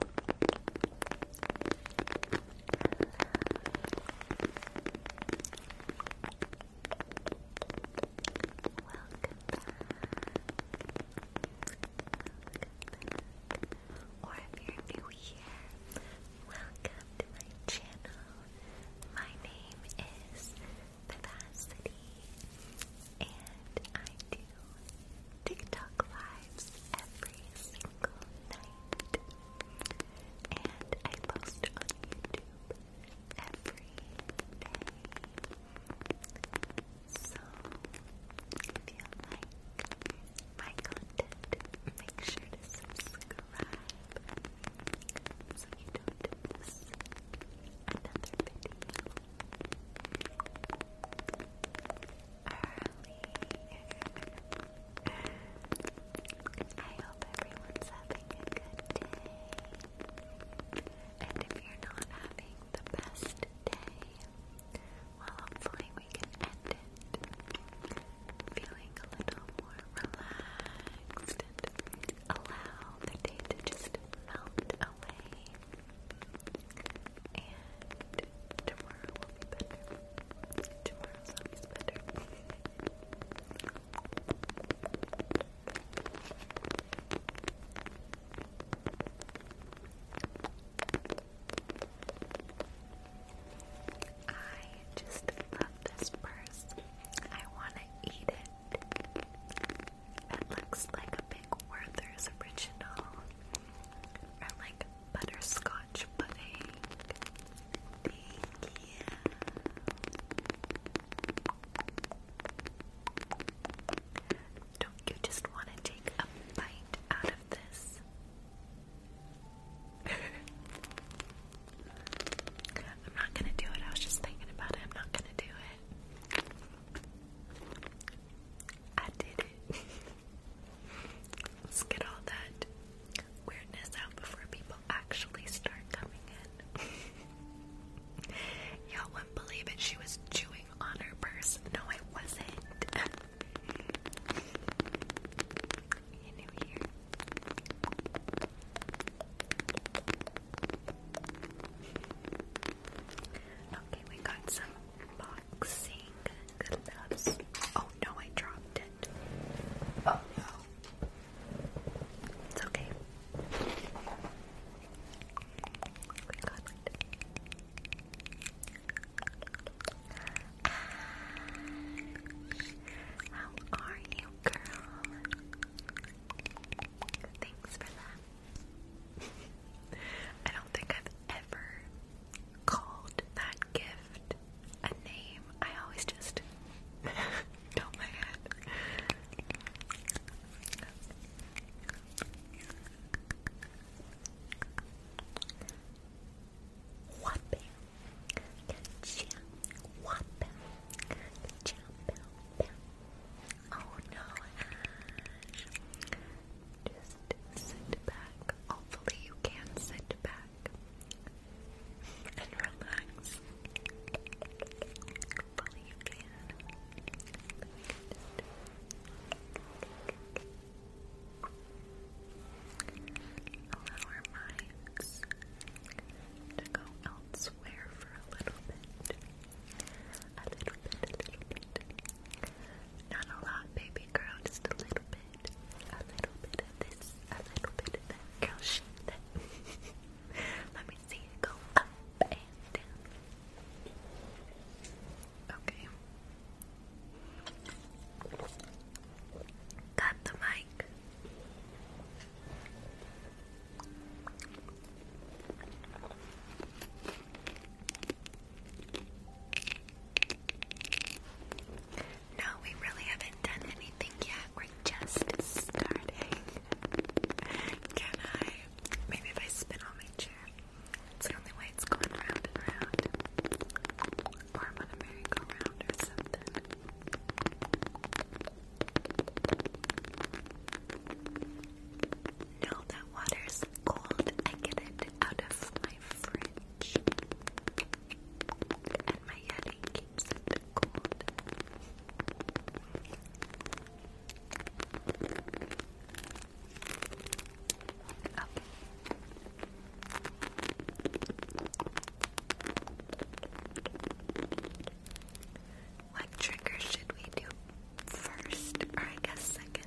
back. Or if you're new here, welcome to my channel. My name is Vivacity, and I TikTok lives every single night. And I post on YouTube every day. So, if you like my content, make sure to subscribe so you don't miss another video early. I hope everyone's having a good day. And if you're not having the best day, well, hopefully we can end it feeling a little more relaxed allow the day to just melt away. And tomorrow will be better. Tomorrow's always better. I just love this purse. I want to eat it. It looks like a big Werther's original, or like butterscotch pudding. Don't you just want to take a bite out of this? I'm not gonna do it. I was just thinking about it. I'm not gonna do it. I did it. Let's get all that weirdness out before people actually start coming in. Y'all wouldn't believe it, she was chewing on her purse. No, I wasn't. you knew here. Okay, we got some boxing gloves. Oh no, I dropped it. Oh no. It's okay. We got it. how are you, girl? Thanks for that. I don't think I've ever called that gift a name. I always just don't my head. Whopping. Whopping. Oh no, Just just sit back. Hopefully, you can sit back and relax. Hopefully, you can. Allow our minds to go elsewhere for a little bit. A little bit, little bit. Not a lot, baby girl, just a little bit mind a little bit of this, a little bit of that. Girl, shake that. Let me see it go up and down. Okay. Got the mic. No, we really haven't done anything yet. We're just starting. Can I? Maybe if I spin on my chair. It's the only way it's going round and round. Or I'm on a merry-go-round or something. No, that water's cold. I get it out of my fridge. And my yeti keeps it cold. Okay. What trigger should we do first, or I guess second?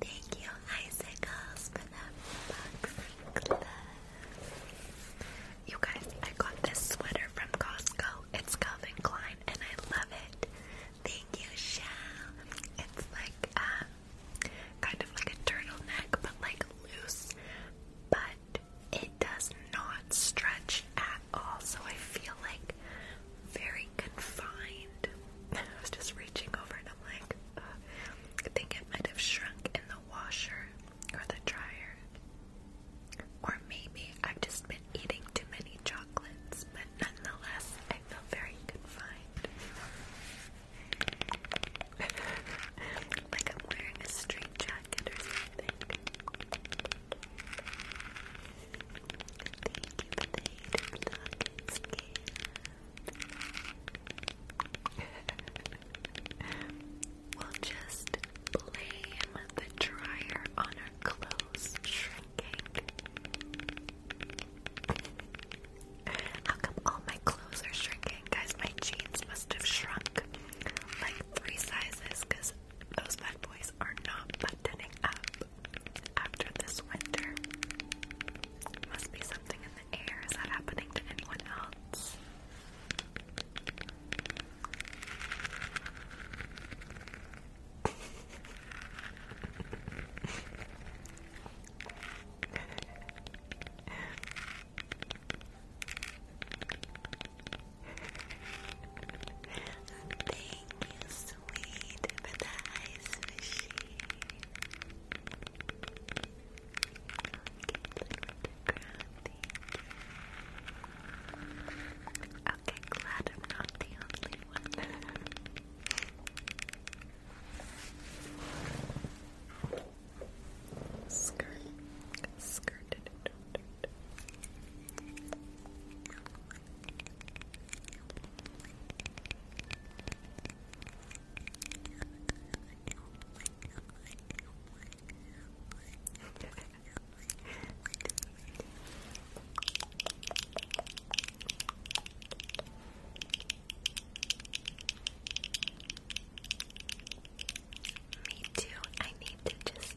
Thank you, Icicles, for the boxing club. You guys, I got this sweater from Costco. It's Calvin Klein, and I love it. Thank you, Shell. It's like um, kind of like a turtleneck, but like loose. But it does not stretch at at I feel like very confined. I was just reaching over and I'm like, I think it might have shrunk in the washer or the dryer. Or maybe I've just been eating too many chocolates, but nonetheless, I feel very confined. like I'm wearing a straight jacket or something we'll just blame the dryer on our clothes shrinking. How come all my clothes are shrinking? Guys, my jeans must have shrunk like three sizes because those bad boys are not buttoning up after this winter. Must be something in the air. Is that happening to anyone else? Thank you Sweet for the ice machine. Okay, okay, glad I'm not the only one. Skirt, skirt. Okay, me too. I need to just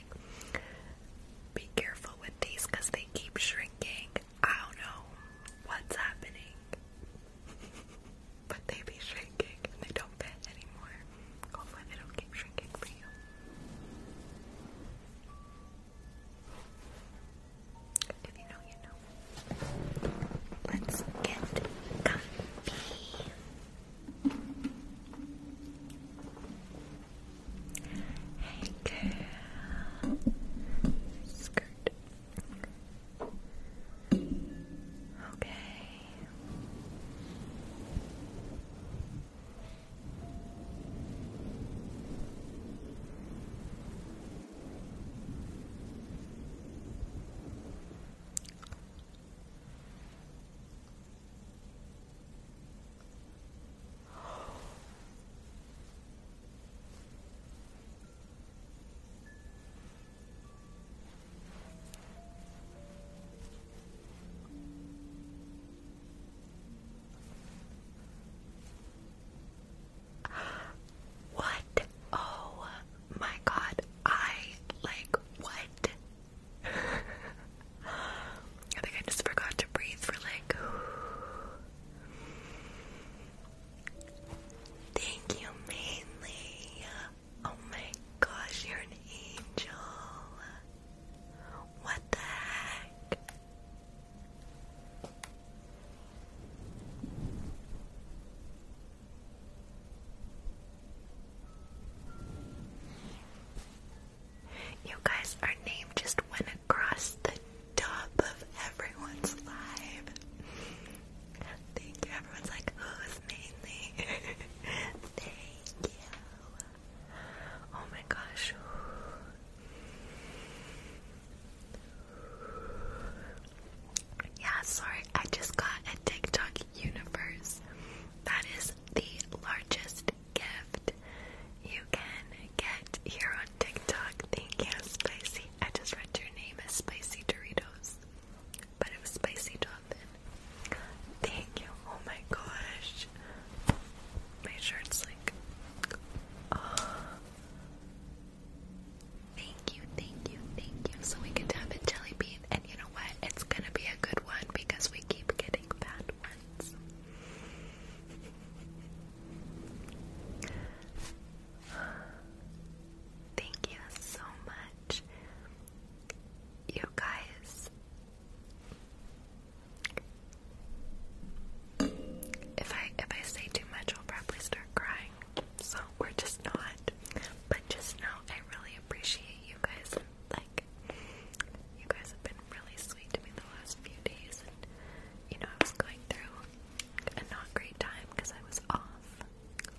be careful with these because they keep shrinking. I don't know what's happening, but they be shrinking and they don't fit anymore. Hopefully, they don't keep shrinking for you. If you know, you know. Let's get comfy. Hey girl. Skirt. Okay. What? Oh my god, I like what? I think I just forgot to breathe for like. Thank you, mainly. Oh my gosh, you're an angel. What the heck? You guys, our name just went across the top of everyone's live. Thank you. Everyone's like, who's oh, mainly? Thank you. Oh my gosh. Yeah, sorry, I just got a TikTok universe. That is the largest gift you can get here on TikTok. Thank you, Spicy. I just read your name as Spicy Doritos, but it was Spicy Dolphin. Thank you. Oh my gosh. My shirt's like. Oh. Thank you, thank you, thank you. So we can have in Jelly Bean, and you know what? It's gonna be a good one because we keep getting bad ones. Thank you so much. You guys, if I if I say too much, I'll probably start crying. So we're just not. But just know I really appreciate you guys. Like, you guys have been been really sweet to me the last few days, and you know, I was going through a not great time because I was off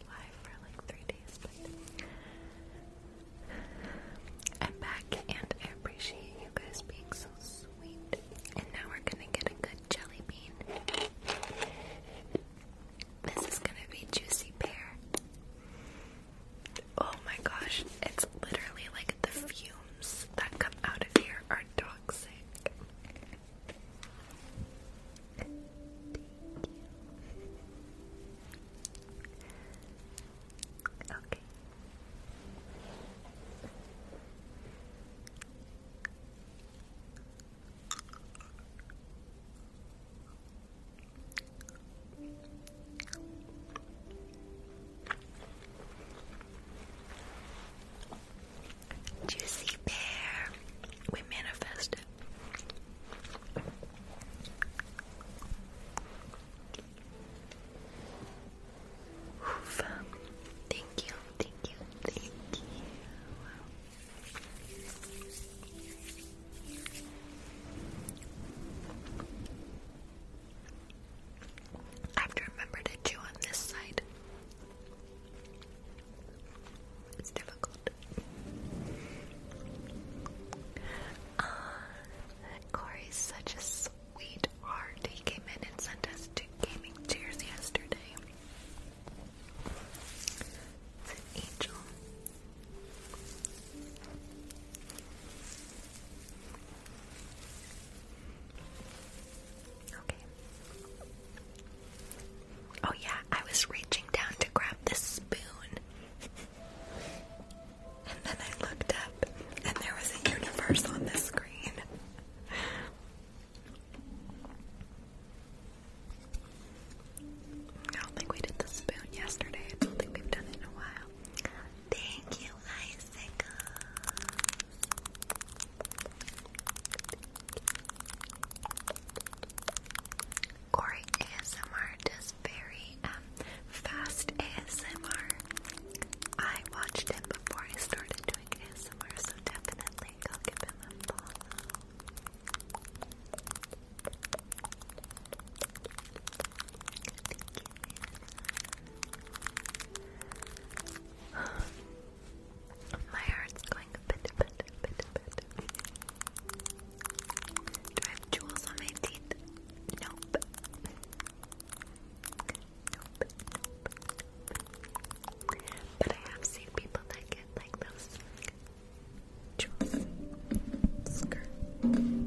live for like three days, but I'm back and I appreciate you guys being so sweet. And now we're gonna get a good jelly bean. This is gonna be juicy pear. Oh my gosh, it's literally like the fume that come out of here are toxic. Okay. Juicy Bear. We manifest it. Thank you, thank you, thank you. I have to remember to do on this side. It's difficult. Uh, Corey's such a sweetheart. He came in and sent us two gaming chairs yesterday. It's an angel. Oh, yeah, I was reaching down to grab this spoon. And then I looked up, and there was a universe on the screen. I don't think we did the spoon yesterday. I don't think we've done it in a while. Thank you, Icicle. Corey ASMR does very um, fast ASMR. I watched him before I started doing ASMR, so definitely give him a follow. Thank you My heart's going a bit, bit, bit, bit. Do I have jewels on my teeth? Nope. Nope. But I have seen people that get like those jewels.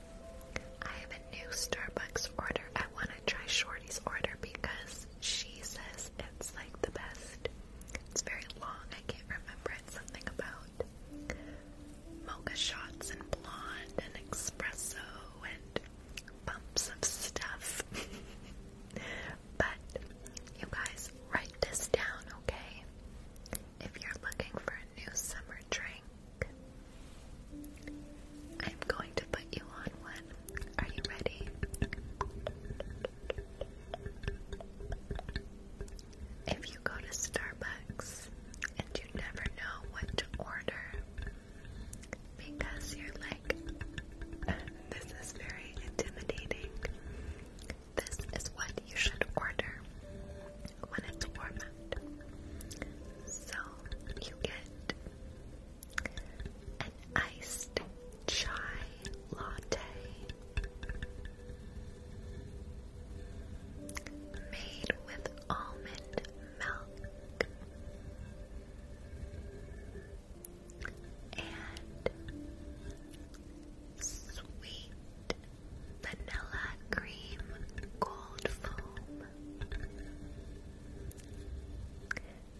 I have a new Starbucks order. I want to try Shorty's order because she says it's like the best. It's very long. I can't remember. It's something about mocha shots and blonde and espresso and bumps of stuff. but you guys, write this down, okay? If you're looking for a new summer drink, I'm going to put you on one. Are you ready? If you go to Starbucks and you never know what to order because you're like, this is very intimidating, this is what you should order when it's warm So you get an iced chai latte made with almond milk and sweet vanilla cream cold foam. And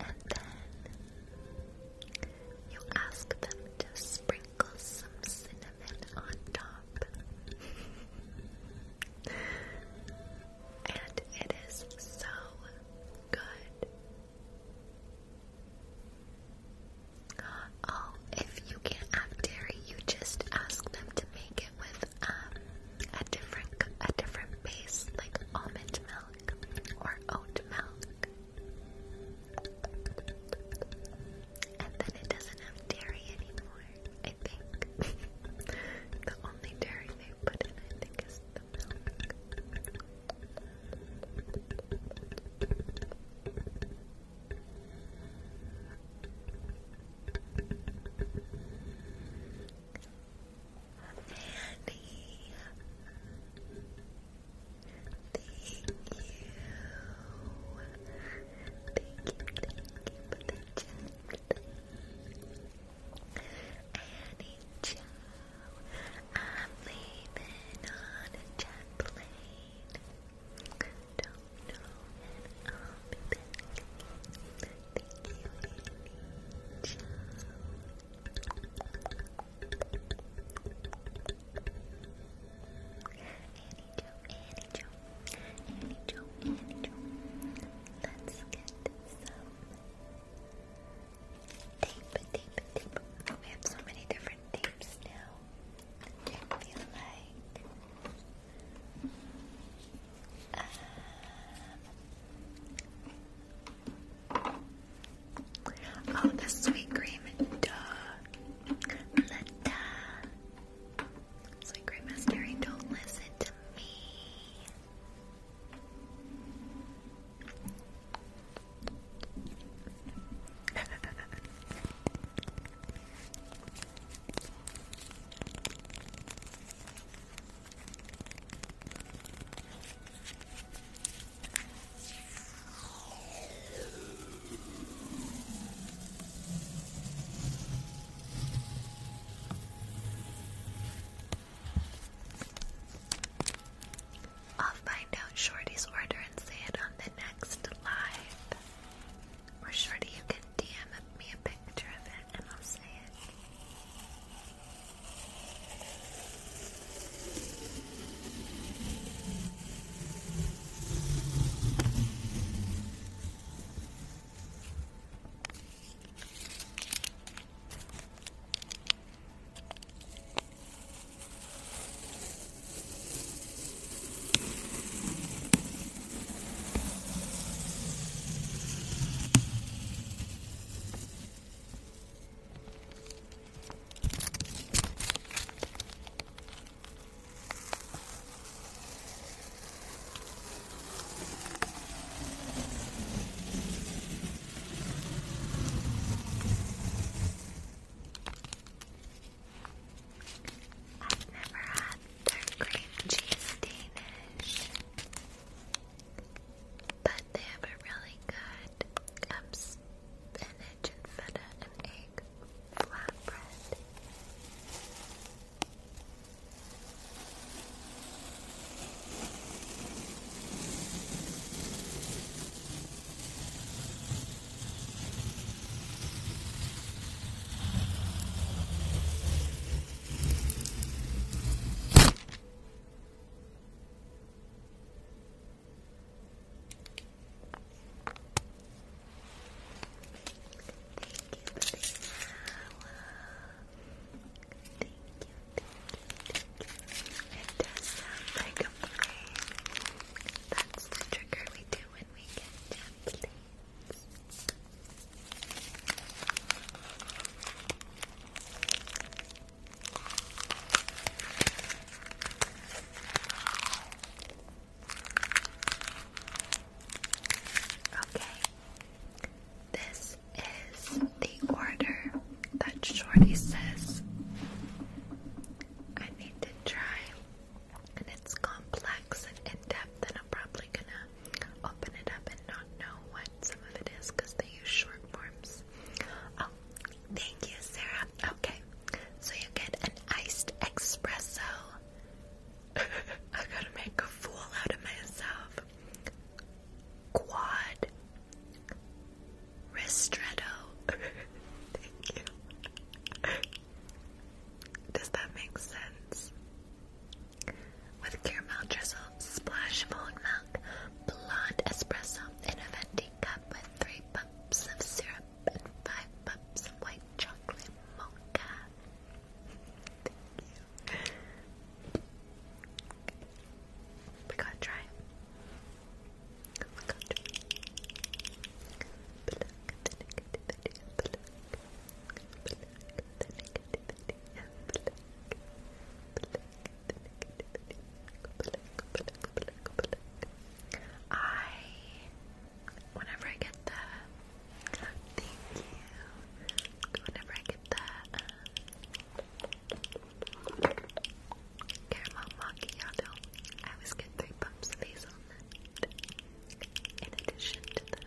then you ask them to sprinkle some cinnamon on top. and it is so good. Oh, if you can't have dairy, you just ask them to make it with um, a different a different base like almond milk or oat milk, and then it doesn't have dairy anymore. I think the only dairy they put in, I think, is the milk. Annie. Thank you. Thank you, thank you for the chat. Joe, I'm leaving on a jet plane. Don't know when I'll be back. Thank you, Rach. Annie Jo, Annie Jo, Annie Let's get some tape, tape, tape. we have so many different tapes now. I feel like um, oh, the sweet cream, duh. The duh. Sweet cream is Don't listen to me. I'll find out Shorty's order and say it on the next live. Or Shorty, you can DM me a i picture of it and I'll say it. I've never had their cream cheese Danish. But they have a really good um, and feta and egg flatbread. It does sound like a brain. That's the trigger we do when we get templates. Okay, this is the order that Shorty says I need to try, and it's complex and in depth, and I'm probably gonna open it up and not know what some of it is because they use short forms. Oh, thank you, Sarah. Okay, so you get an iced espresso. I gotta make a fool out of myself. Quad ristretto. Thank you. Does that make sense? with caramel drizzle, splash of oat milk, blonde espresso in a venti cup with three pumps of syrup and five pumps of white chocolate mocha. We gotta try I whenever I get the thank you. Whenever I get the um, caramel macchiato, I always get three pumps of hazelnut in addition to the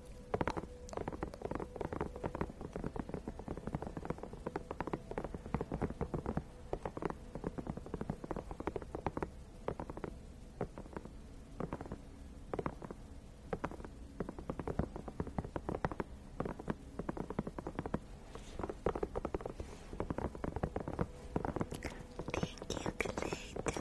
Thank you, Clayton, for that.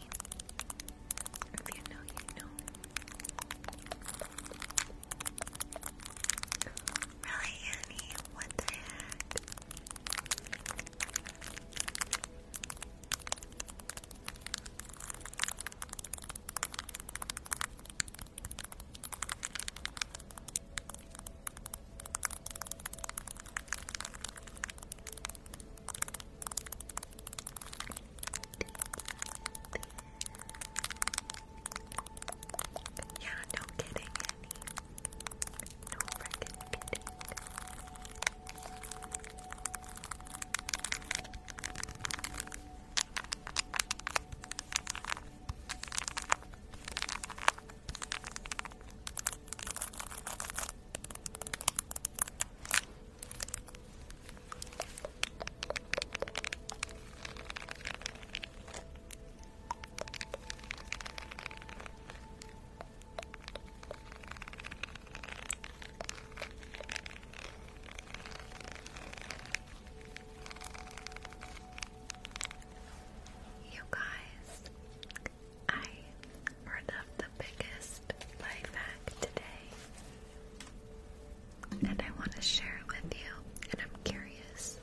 If you know, you know. Really, Annie? What the heck? Yeah, no kidding, No freaking kidding. You guys, I part of the biggest life hack today, and I want to share it with you. And I'm curious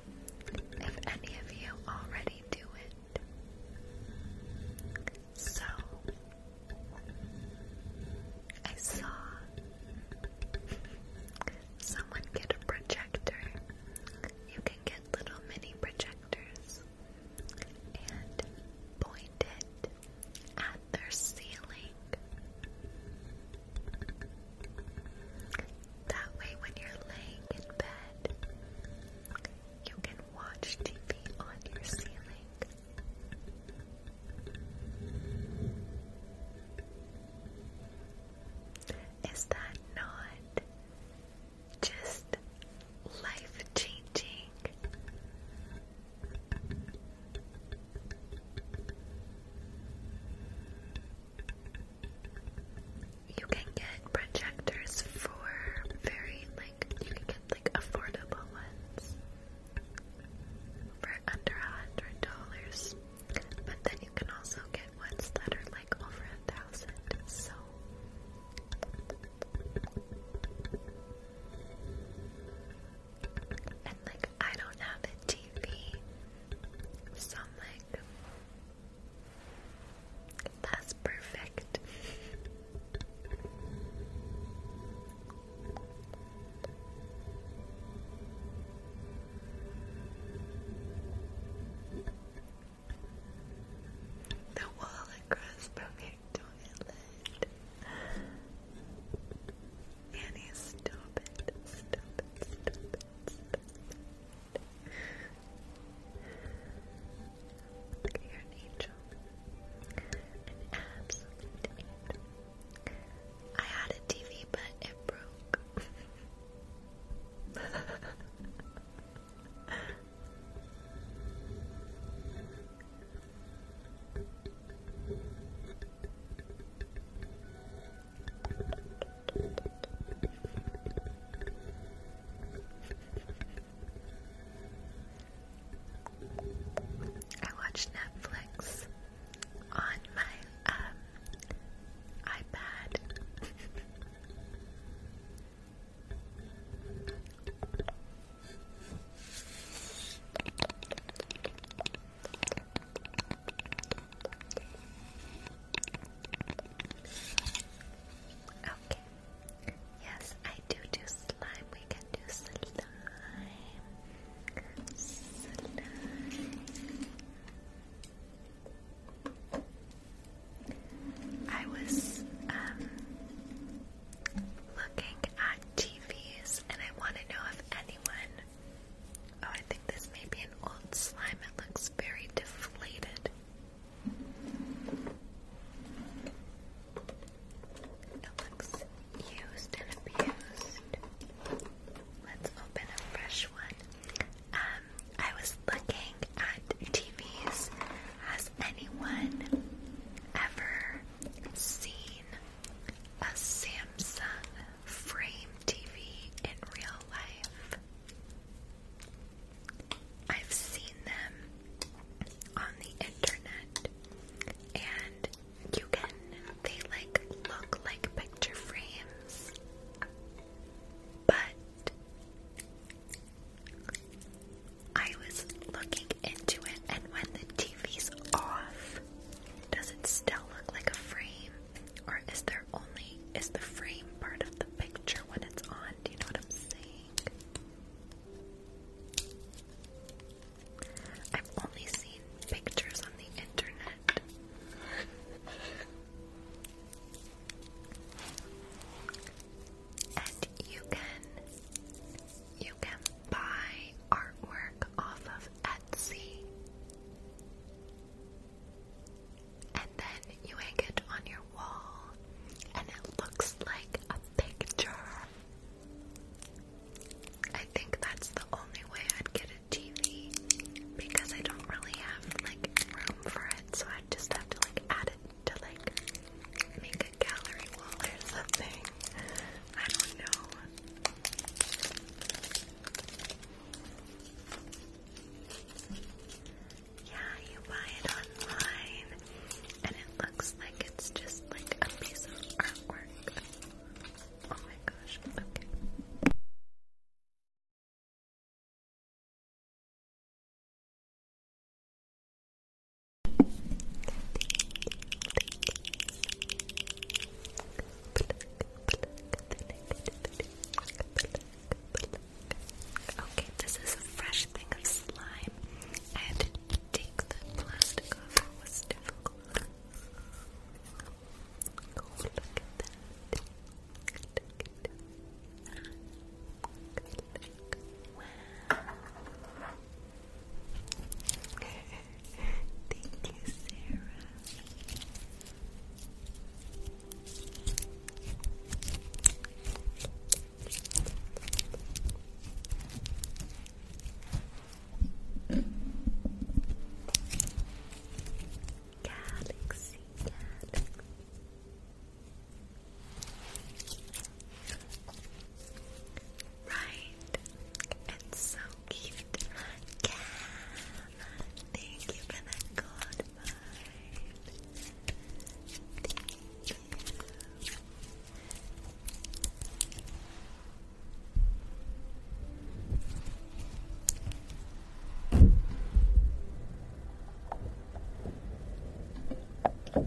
if any of you already do it. So, I saw someone get a projector. You can get little mini projectors and point it at their ceiling. That way, when you're laying in bed, you can watch TV on your ceiling. Is that not just life changing? You can get projectors for very like you can get like affordable ones for under a hundred dollars. But then you can also get ones that are like over a thousand, so and like I don't have a TV. So like that's perfect. The wall across from here toilet. Annie, stop it. Stop it. Stop it. angel. An absolute I had a TV, but it broke. I watch Netflix on my um, iPad. Okay. Yes, I do do slime. We can do slime. Slime. I was um looking at TVs, and I want to know if anyone. Oh, I think this may be an old slime. It looks very deflated. It looks used and abused. Let's open a fresh one. Um, I was looking at TVs. Has anyone ever seen a Samsung frame TV in real life. I've seen them on the internet and you can they like look like picture frames but I was looking into it and when the TV's off, does it still look like a frame? Or is there only is the frame part of the picture when it's on? Do you know what I'm saying? I've only seen pictures on the internet. And you can you can buy artwork off of Etsy. And then you hang it on your wall, and it looks like a picture. I think that's the only way I'd get a TV because I don't really have like room for it, so I just have to like add it to like make gallery wall or something. I don't know. Yeah, you buy it online and it looks like it's just like a piece of artwork. Oh my gosh, okay. Okay, this is a fresh thing of slime. I take the plastic off. It Look at that. Wow. Thank you, Sarah. Galaxy, galaxy right? It's so cute. thank you for the god Thank you.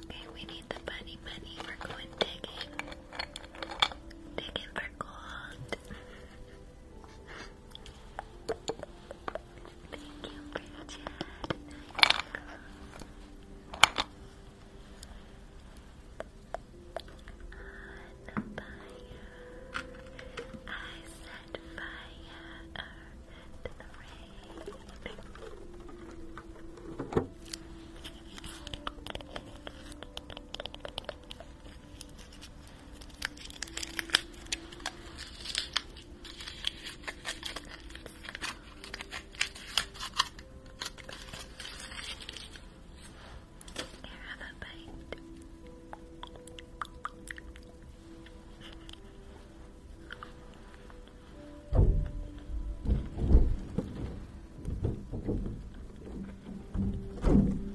Okay, we need the bunny bunny. We're going digging. Digging for gold. Thank you, Bridget. On the fire, I set fire to the rain. Here, have a bite. Radiant. Thank you.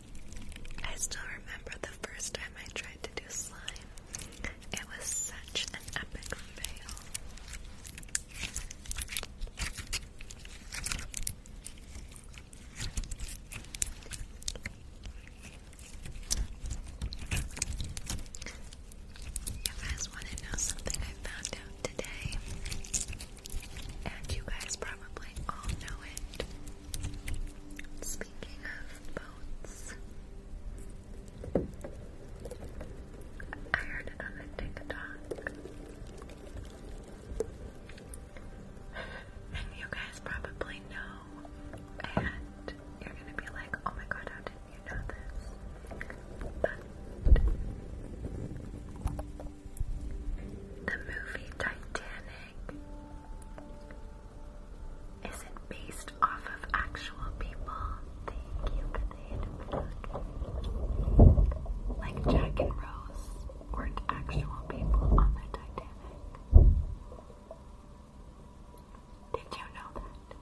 I still remember the first time I tried to do slime. It was such an epic fail. You guys want to know something I found out today? And you guys probably all know it. Speaking of boats, I heard it on TikTok. and you guys probably know, and you're gonna be like, oh my god, how didn't you know this? But the movie Titanic is it based off of actual people? Like Jack and Rose weren't actual people on the Titanic. Did you know that?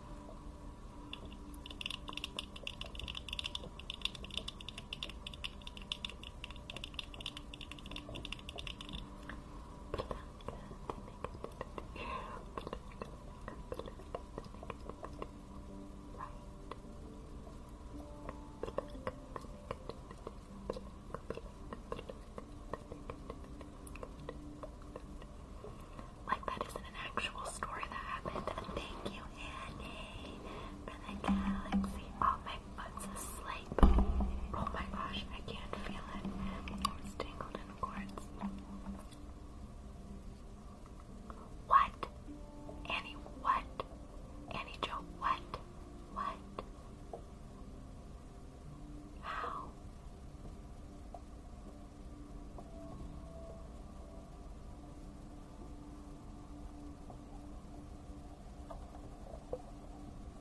Like that isn't an actual story that happened. Thank you, Annie, for the galaxy. Oh my my asleep. Oh my gosh, I can't feel it. It's tangled in cords. What? Annie, what? Annie Joe, what? What? How?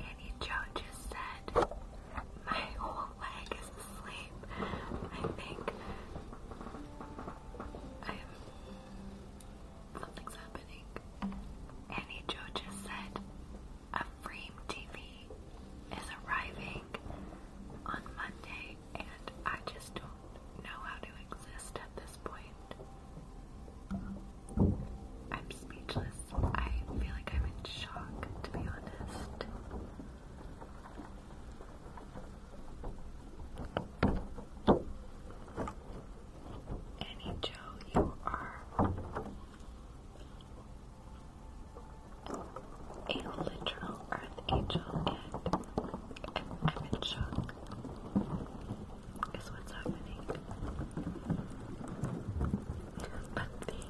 Annie Joe just said, My whole leg is asleep. I think Something's happening. Annie Joe just said, A frame TV is arriving on Monday, and I just don't know how to exist at this point. I'm speechless. I feel like I'm in shock, to be honest. Annie Joe, you are a literal Earth Angel, and I'm in shock. Is what's happening. But thank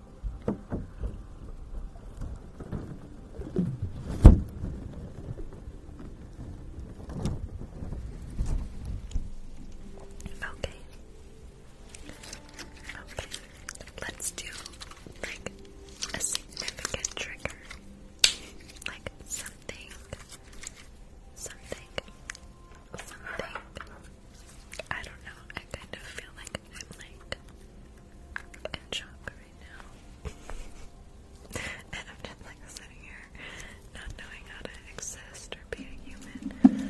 Okay. Okay. Let's do like a significant trigger. Like something something something I don't know. I kind of feel like like, I'm like in shock right now. and I'm just like sitting here not knowing how to exist or be a human.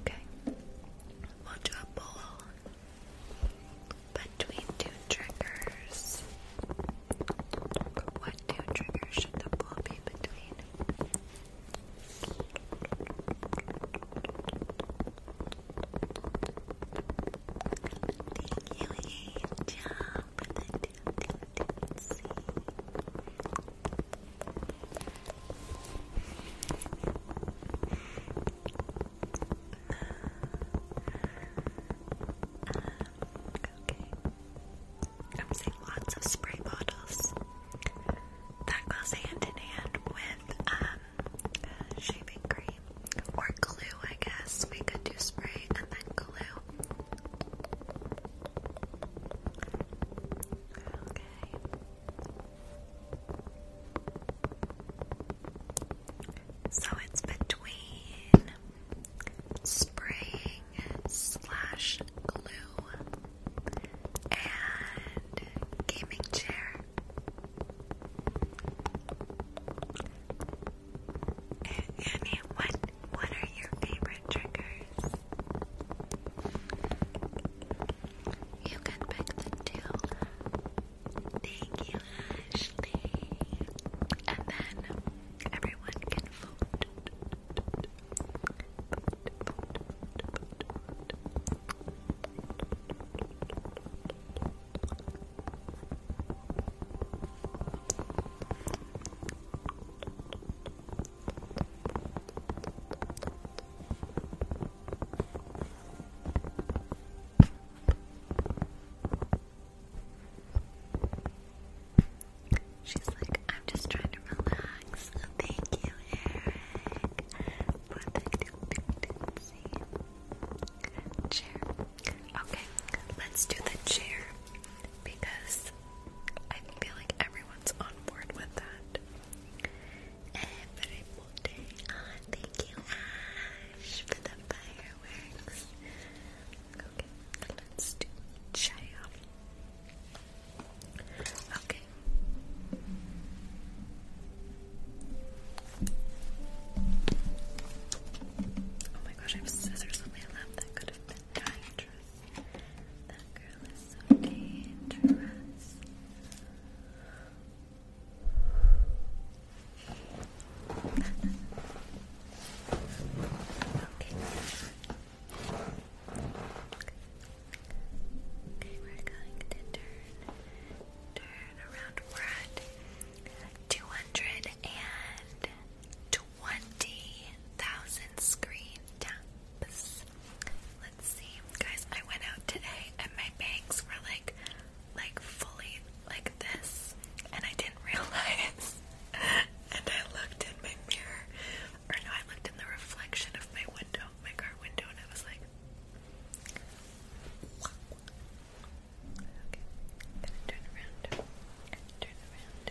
Okay, we'll do a bowl between two triggers. What two triggers should the bowl be between? Thank you, Angel, for the two, two, two, I'm seeing lots of spray bottles. That goes hand in hand with um, shaving cream or glue, I guess. We could do spray and then glue. Okay. So it's between spraying slash glue and gaming chair. Annie, what what are your favorite triggers? You can pick the two. Thank you, And then everyone can vote. She's like, I'm just trying to relax. thank you, Eric, for the chair. Okay, let's do the chair because I feel like everyone's on board with that on. Thank you, Ash, for the fireworks. Okay, let's do Chaya. Okay. Oh my gosh, I have scissors on my lap. That could have been dangerous. That girl is so dangerous okay. Okay, we're going to turn turn around. We're at two hundred and twenty thousand screen taps let's see. Guys, I went out today and my bangs were like like fully like this and I didn't realize and I looked in my mirror or no I looked in the reflection of my window, my car window and I was like Okay, gonna turn around. Turn around.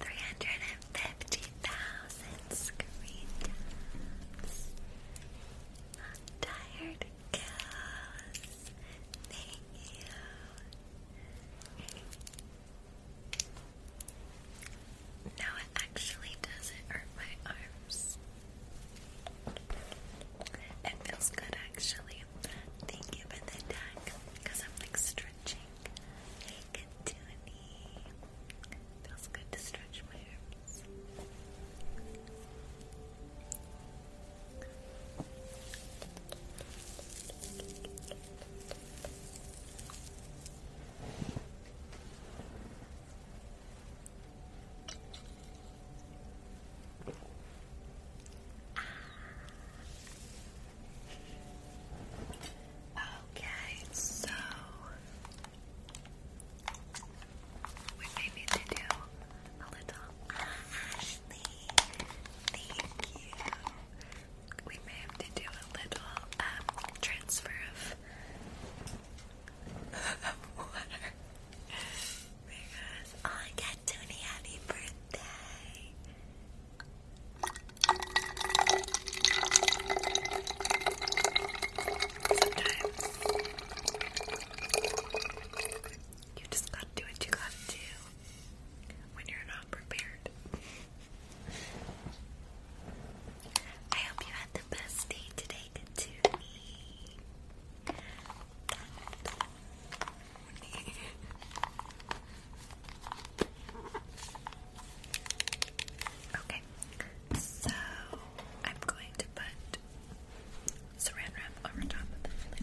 Three hundred and fifty thousand screen taps. tired girls. Thank you. No, it actually doesn't hurt my arms. It feels good actually. Thank you for the deck because I'm like stretching. Hey, Katuni. Feels good to stretch my arms. Okay, so we may need to do a little Thank you. We may have to do a little um, transfer of because I got Tony happy birthday. you just gotta do what you gotta do when you're not prepared. I hope you had the best day today, Katumi. Okay, so I'm going to put saran wrap over top of the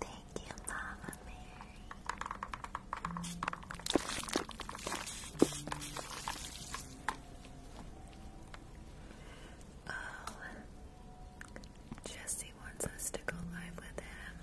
Thank you, Mama Mary. Oh, Jesse wants us to go live with him.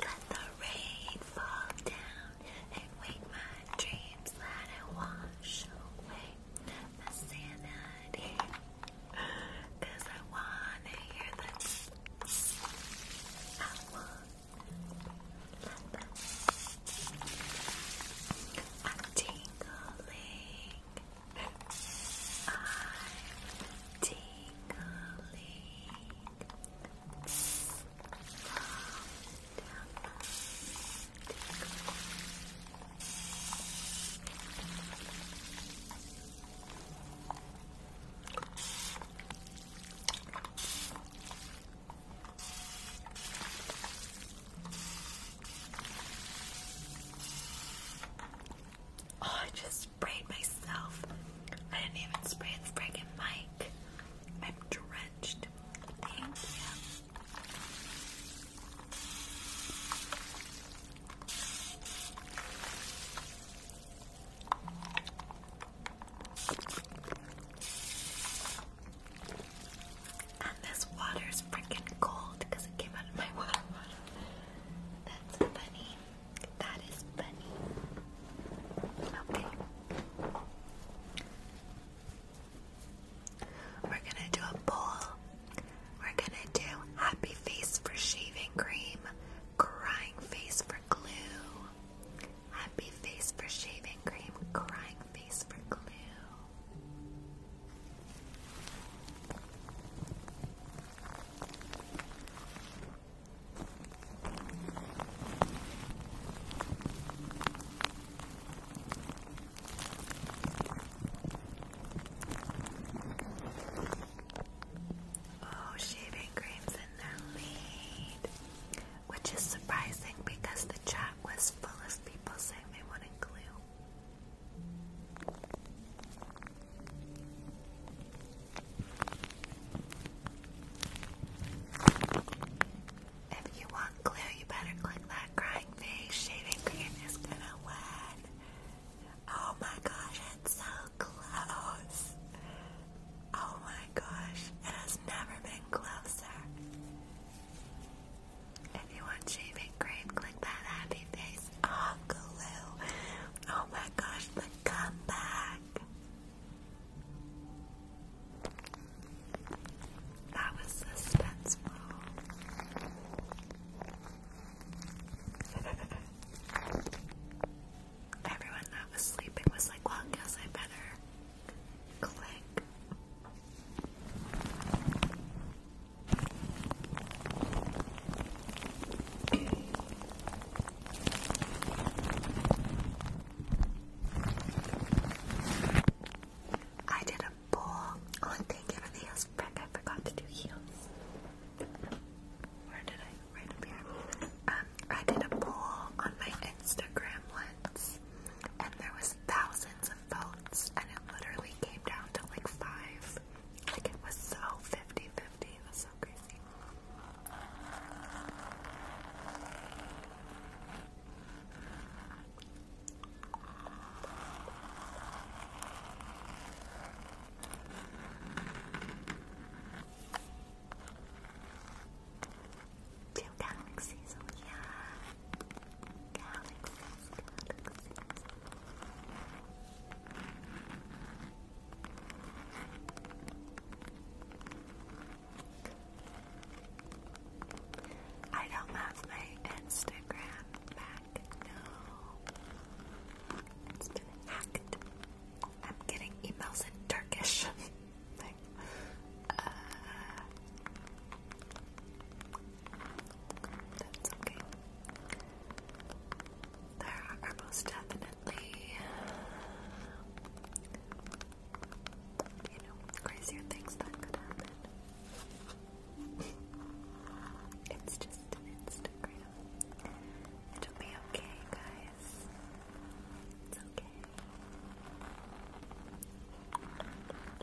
Let the rain fall down and wake my dreams. Let it wash away my sanity. Cause I wanna hear the I I'm tingling. I'm tingling. Tingling. Oh, I just sprayed myself. I didn't even spray the friggin' mic. I'm drenched. Thank you. And this water's freaking cold because it came out of my water bottle. That's funny. That is funny. Okay. We're gonna do a poll. We're gonna do happy face for shaving cream, crying face for glue. Happy face for shaving cream, crying face for glue. Oh, shaving cream's in the lead which is surprising because the chat was full of people saying they wanted glue. If you want glue, you better click that crying face. Shaving cream is gonna win. Oh my gosh, it's so close. Oh my gosh, it has never been closer. If you want shaving cream, click that happy face. Oh, Oh my gosh, the comeback. That was suspenseful. Everyone that was sleeping was like, well, guess I better click I did a bowl. Oh, and thank I forgot to do heels. Where did I? Right up here. Um, I did a poll on my Instagram once, and there was thousands of votes, and it literally came down to like five. Like it was so 50 50. It was so crazy two galaxies. Oh yeah, galaxies, galaxies. I don't have my Instagram back. No, it hacked. I'm getting emails in Turkish. Uh, that's okay. There are most definitely, you know, crazier things that could happen. it's just Instagram. It'll be okay, guys. It's okay.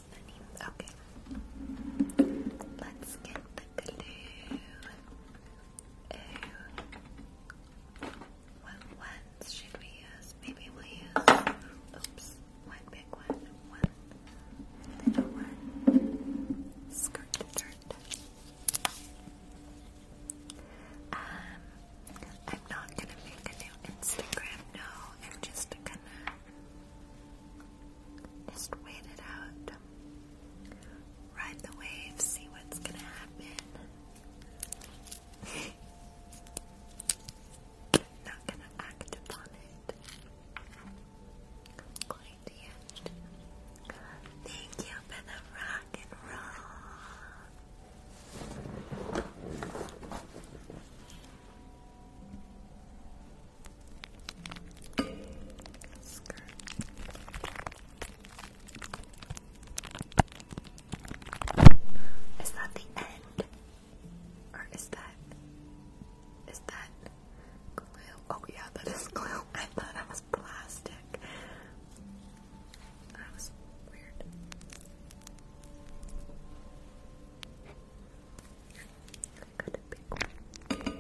Okay. Let's get the glue. What ones should we use? Maybe we'll use oops. One big one. One little one. Skirt dirt. Um I'm not gonna make a new Instagram, no, I'm just gonna just wait it out. Ride the wave, see what's gonna happen. Not gonna act upon it. Thank you for the rock and roll. Skirt. Is that the end? Or is that is that glue? Oh yeah, that is glue. I thought I was plastic. That was weird. I got a big one. Thank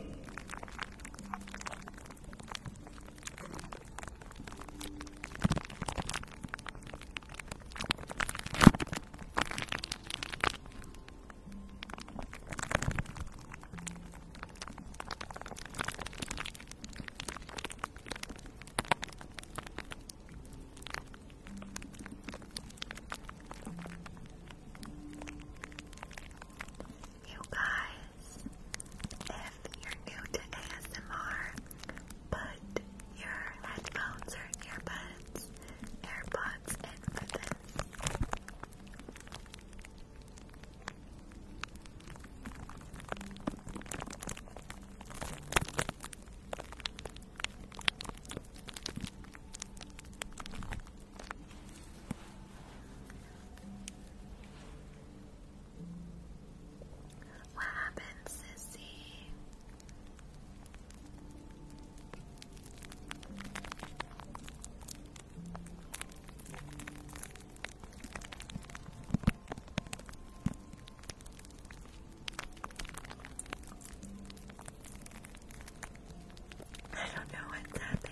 you guys, if you're new to ASMR, put your headphones or earbuds, AirPods in what happened, sissy? I don't know what's happening.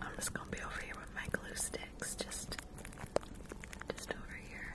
I'm just gonna be over here with my glue sticks, just just over here.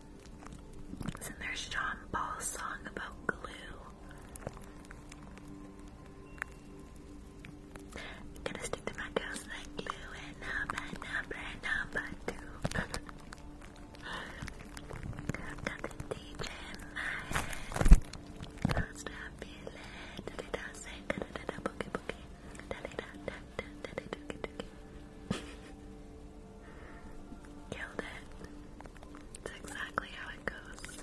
Isn't there Sean Paul's song about glue? gonna stick to my girls like glue and number, number, number two. Got the DJ in my head. Can't stop feeling. Da da da, da boogie boogie. Da da da da da da da da da Killed it. That's exactly how it goes.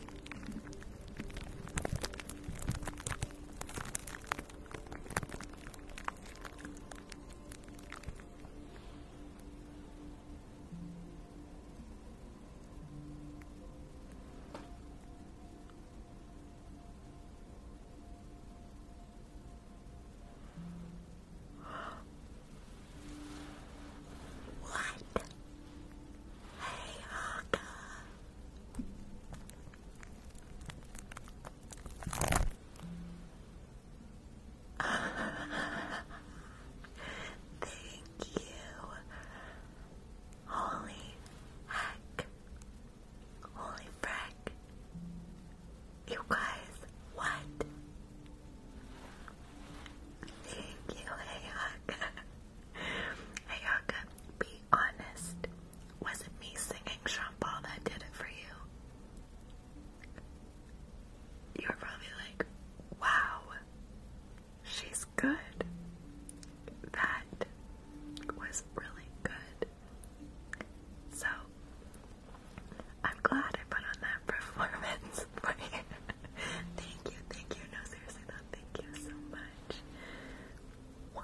What? Hey, Hawker. Thank you. Holy heck. Holy frick. You guys, what? Thank you, Ayaka. Ayaka, be honest. Was it me singing Sean that did it for you? You were probably like, wow, she's good. That was really good. So, I'm glad I put on that performance thank you, thank you. No, seriously though, thank you so much. Wow.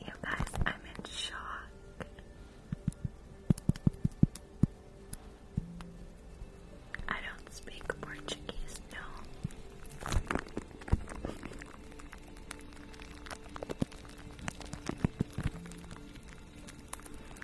You guys, I'm in shock. I don't speak Portuguese, no.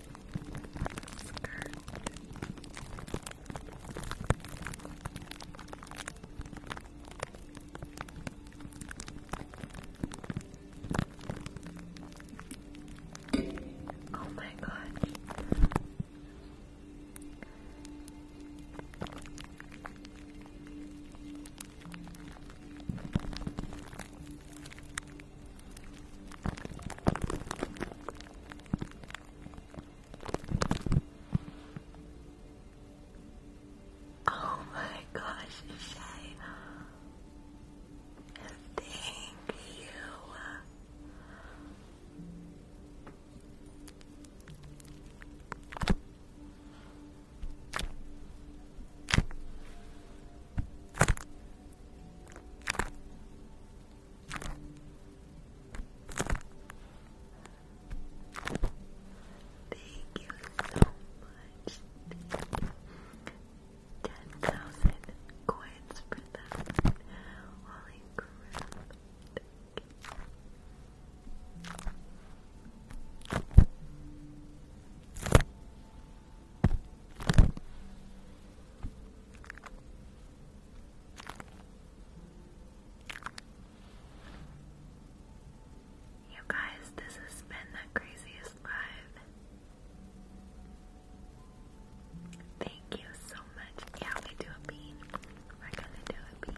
skirt. oh my gosh. Oh my gosh, Thank you. Thank you so much. 10,000 coins for that. Holy crap. You guys, this has been the craziest live. Thank you so much. Yeah, we do a bean. We're gonna do a bean.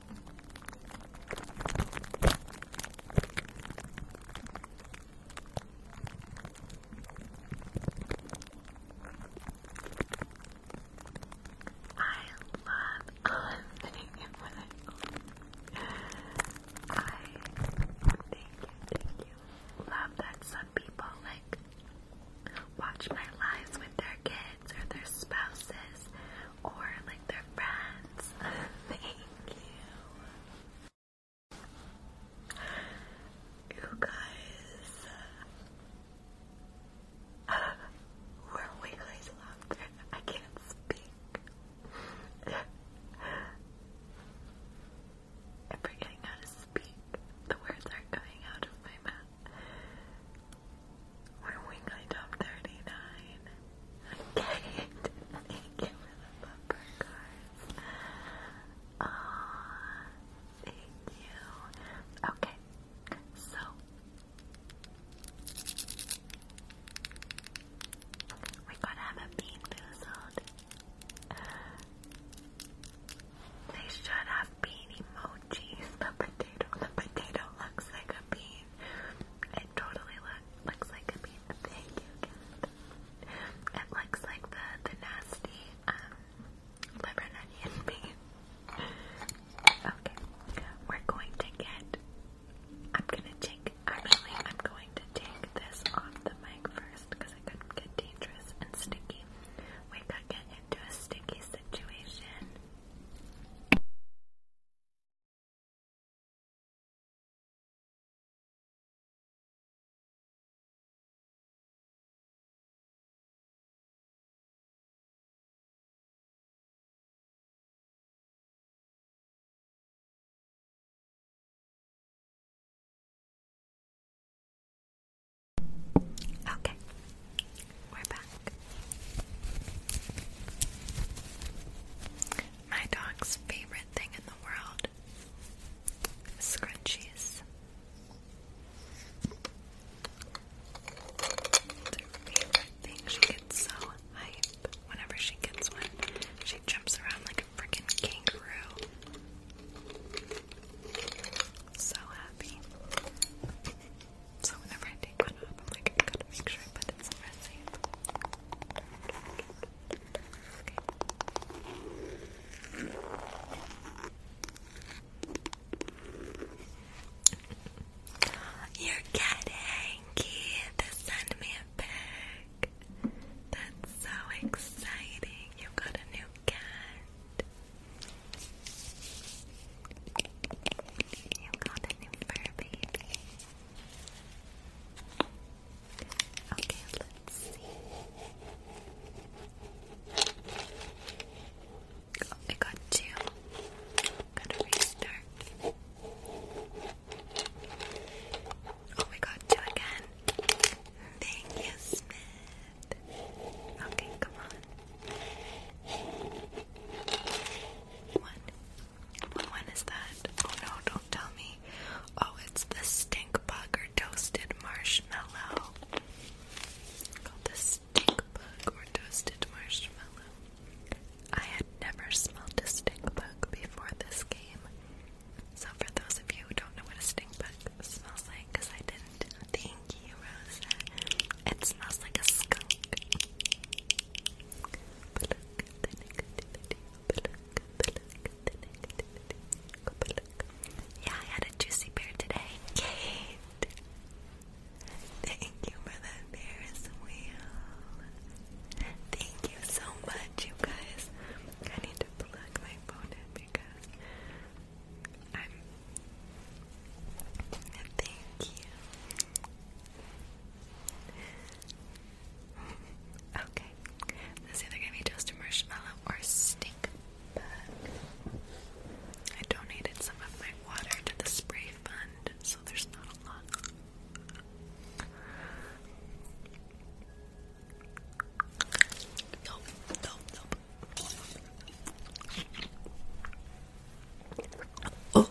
I love eliminating it when I own. I thank you, Love that some people like watch my lives with their kids or their spouses or like their friends. Thank you. You guys, uh, where we guys left, I can't speak. I'm forgetting how to speak. The words aren't coming out of my mouth. We're weekly top 39. I Thank you for the bumper cards. Aw, uh, thank you. Okay, so. We're to have a bean boozled. They should have bean emojis. The potato, the potato looks like a bean totally looks like a bean. Thank you, It looks like the, the nasty um, liver Okay, we're going to get. I'm gonna take. Actually, I'm going to take this off the mic first because it could get dangerous and sticky. We could get into a sticky situation. Okay, we're back. My dog's favorite thing in the world scrunchies. favorite thing. She gets so hype whenever she gets one. She jumps around like a freaking kangaroo. So happy. So whenever I take it up. I'm like, I gotta make sure I put it somewhere safe. me a pic. That's so exciting. You got a new cat. You got a new fur baby. Okay, let's see. Oh, I got two. Gotta restart. Oh, we got two again. Thank you, Smith. Okay, come on. One, when is that? Oh no, don't tell me. Oh, it's the stink bug or toasted marshmallow. Called the stink or toasted marshmallow. I had never smelled a stink bug before this game. So for those of you who don't know what a stink bug smells like, because I didn't, thank you, Rosa. It smells like a skunk. Yeah, I had a juicy beer today. thank you for that beer as Thank you so much, you guys. I need to plug my phone in because I'm. Thank you. Okay. This either gonna be toasted marshmallow or stink bug. I donated some of my water to the spray fund, so there's not a lot. Nope, nope, nope. Oh,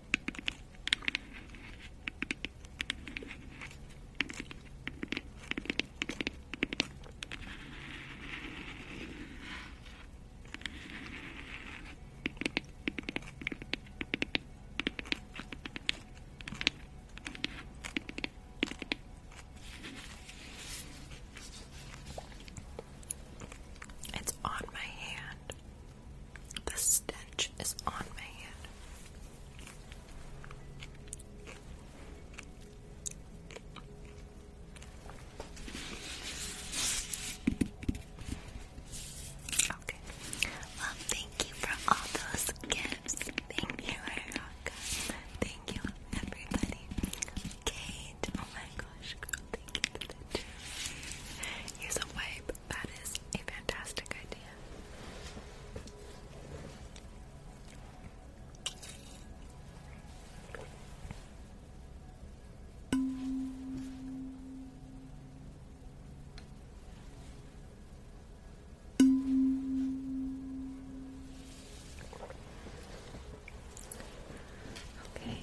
It's on my hand. The stench is on my hand. Okay. Well, thank you for all those gifts. Thank you, Erica. Thank you, everybody. Kate, oh my gosh, girl, thank a wipe. That is a fantastic idea. Okay.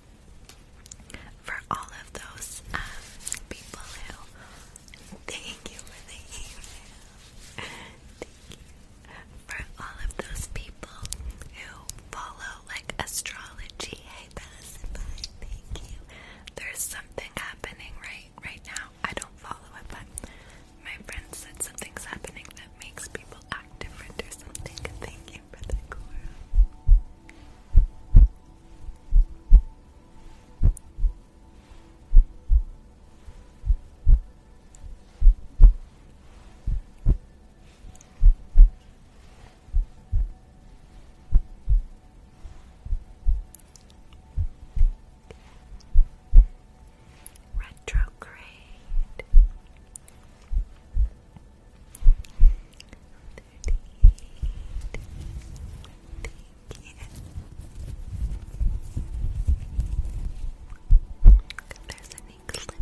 for all of those um, people who thank you for the email. thank you for all of those people who follow like astrology. Hey, thank you. There's something happening right right now. I don't follow it, but my friend said something's happening that makes people act different or something. Thank Thank you Retrograde. There's an eclipse. Thank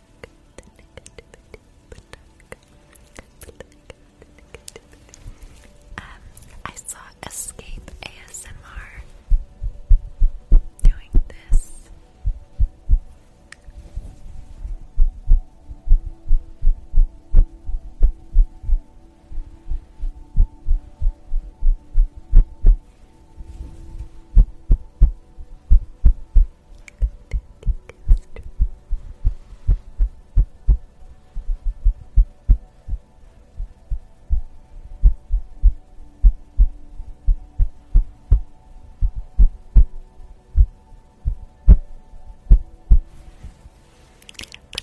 I saw Escape ASMR doing this. But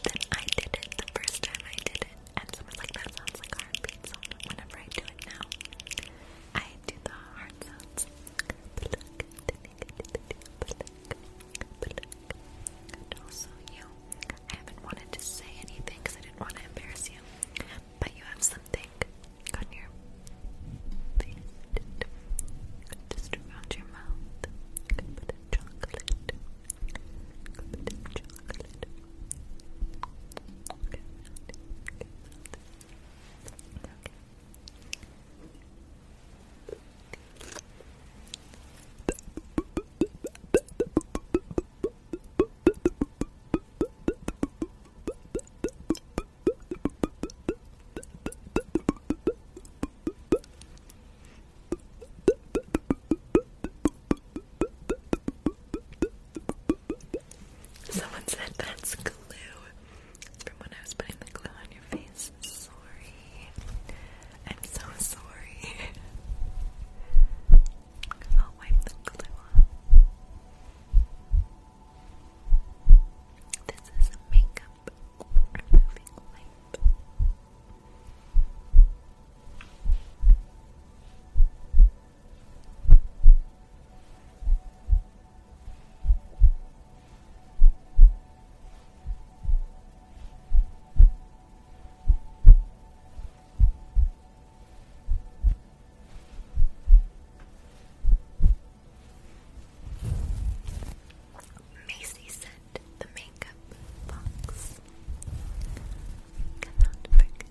then I did it the first time I did it, and someone's like, like hard beats. So whenever I do it now, I do the hard sounds. And also you. I haven't wanted to say anything because I didn't want to embarrass you. But you have something on your face. Just around your mouth. chocolate. chocolate. Someone said that's glue from when I was putting the glue on your face. Sorry. I'm so sorry. I'll wipe the glue off. This is makeup removing wipe. Macy sent the makeup box. Cannot forget.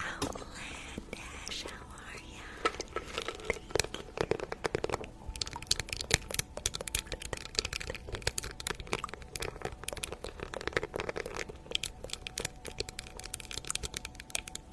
Outland how are you?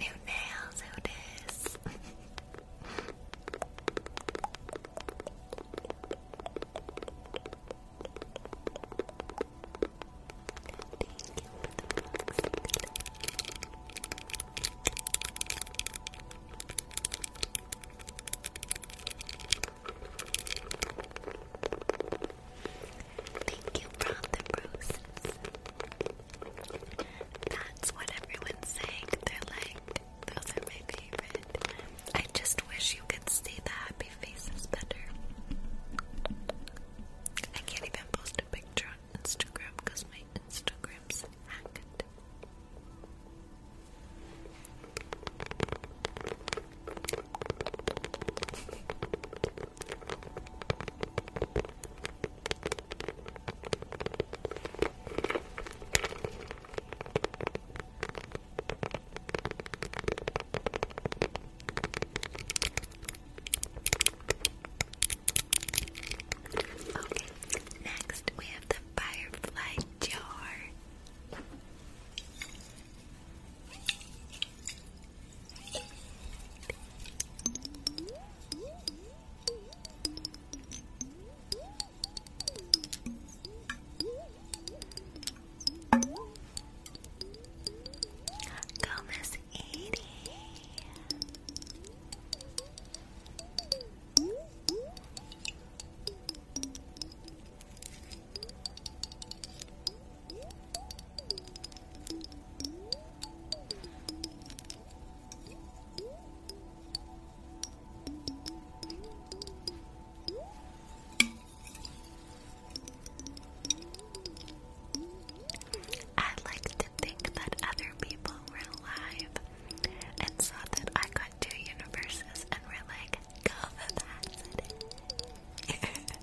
New nails, who dis? Thank you for the box. Thank you from roses. That's what everyone's saying. They're like, those are my favorite. I just wish you could see the happy faces better. I can't even post a picture on Instagram because my Instagram Grips Hackett. Okay, next we have the firefly jar. Gomez eighty. I like to think that other people were alive and saw that I got two universes and we're like, go that.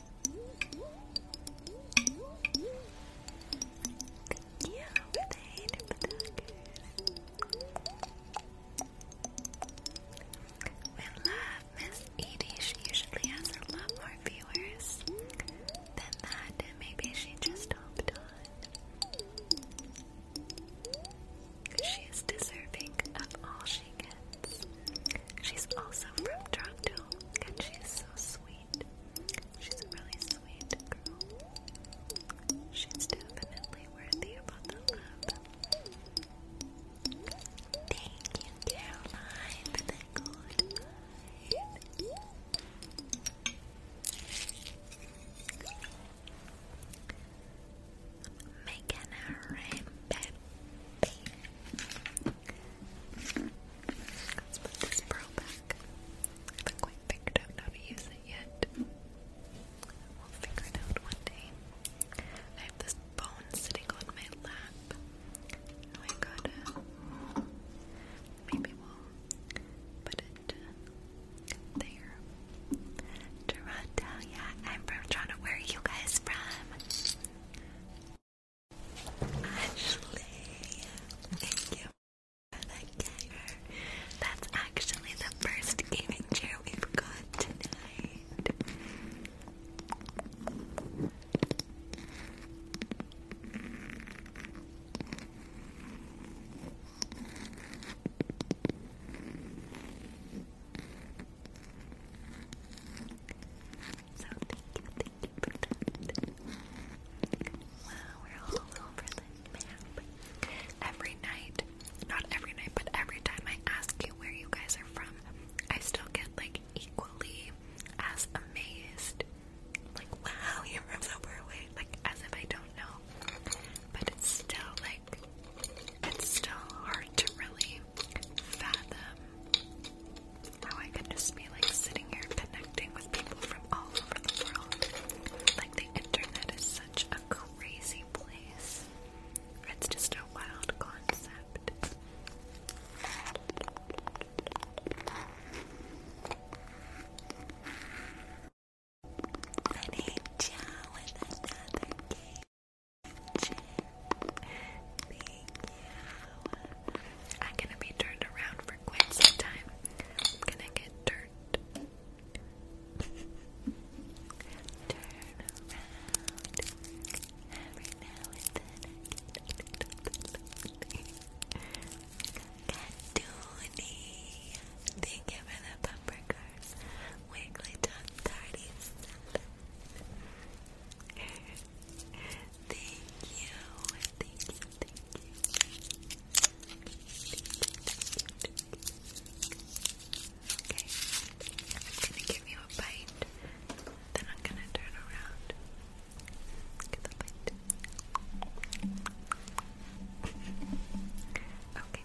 Thank you for the hate of love Miss Edie. She usually has a lot more viewers than that, and maybe she just hopped on. She is deserving of all she gets. She's also from Toronto, and she's so sweet. She's a really sweet girl. She's definitely worthy of all the love. Thank you, Caroline, for the good Making a rain, baby. Let's put this pearl back. I haven't quite figured out how to use it yet. We'll figure it out one day. I have this bone sitting on my lap. I gotta. Maybe we'll put it there. Toronto, yeah, I'm from Toronto. Where are you guys from? Ashley, thank you for the gamer. That's actually the first gaming chair we've got tonight. So thank you, thank you for that. Wow, we're all over the map. Every night, not every night, but every time I ask you where you guys are from, I still get like equally as amazed. Like, wow, you're from so far Like, as if I don't know. But still like, it's still hard to really fathom how I can just be like sitting here connecting with people from all over the world. Like the internet is such a crazy place. It's just a wild concept. Renee Chow with another game. Thank you. I'm gonna be turned around for quite some time. I'm gonna get turned. around every now and then. Catoony. Thank you for the bumper cars. Wiggly Dog 37. Thank you. Thank you. Thank you. Okay. I'm gonna give you a bite. Then I'm gonna turn around. Get the bite. Okay.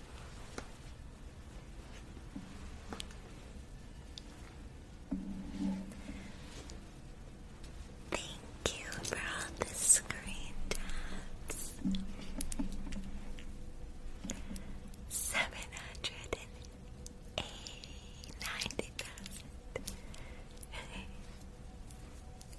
Thank you for all the screen taps. Seven hundred and eighty ninety thousand.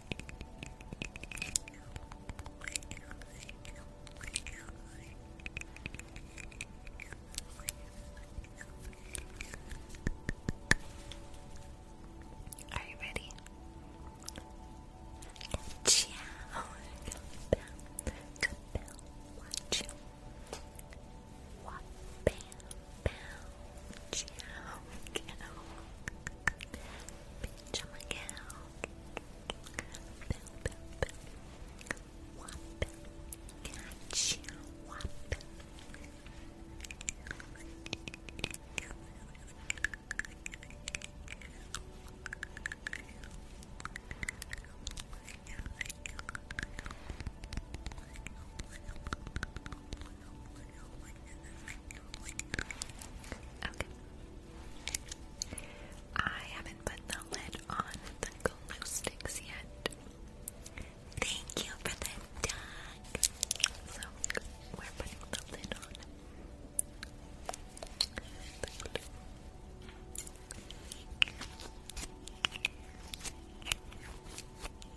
Are you ready? Ciao. Good bell. Good bell. Watch you. Chow, cow. Bitch, I'm a cow. Bow, bow, bow. Whop. Gotcha. Whop. Whop. Okay. I haven't put the lid on the glue sticks yet. Thank you for the dog. So we're putting the lid on. Caroline,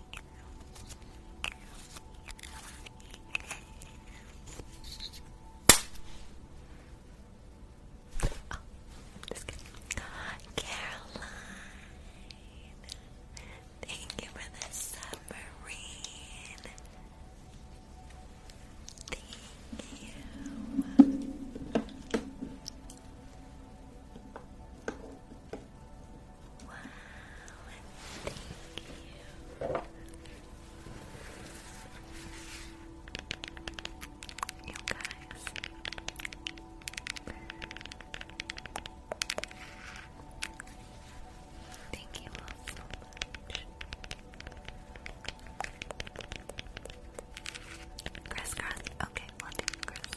thank you for the submarine. Thank you. Wow, thank you. You guys. Thank you so much. Crisscross. Okay, we'll do crisscross.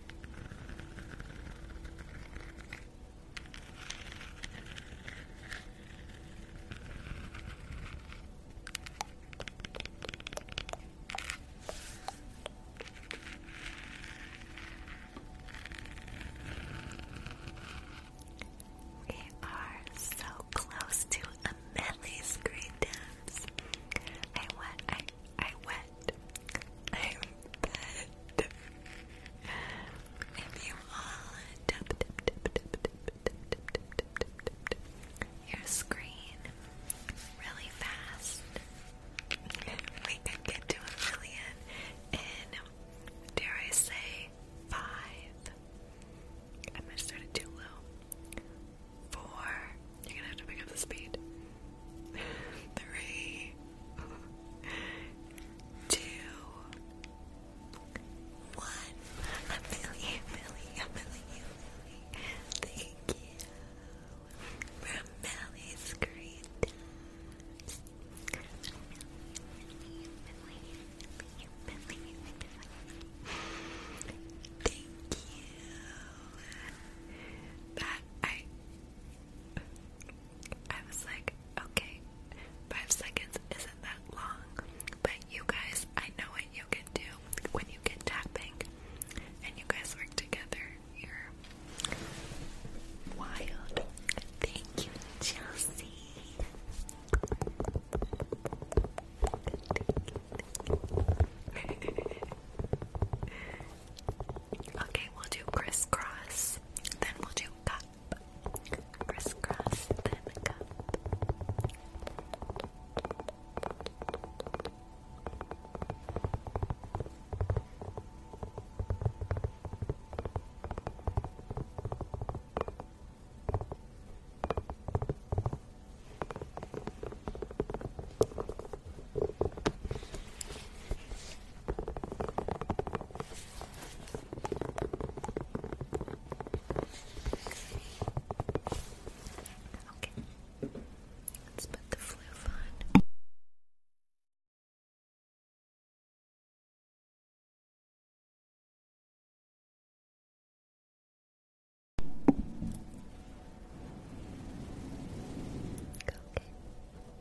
We are so close to a medley dance. I went I I went fed. I'm fed. If you all tap tap tap tap tap tap tap tap tap tap tap your screen really fast, we could get to a million in dare I say five. I'm gonna start it too low. Four. You're gonna have to pick up the speed. Three. two, one. A million, million, million, million. Thank you from Melly's Green Thank you. That I I was like, okay, five seconds isn't that long, but you guys, I know what you can do when you get tapping and you guys work together. You're wild. Thank you, Chelsea. thank you. Okay, we'll do crisscross, then we'll do cup. Crisscross, then cup. Okay, let's put the fluff on. Okay.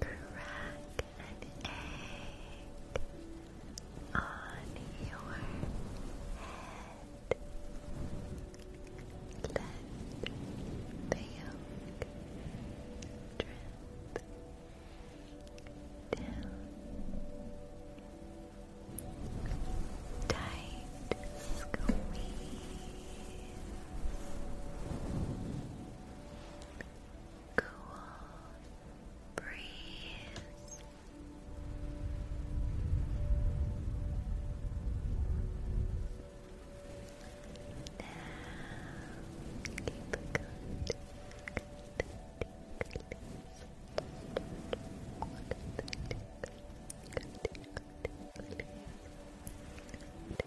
Crack an egg on your head. Let the yolk drip down. Tight squeeze cool breeze. Now,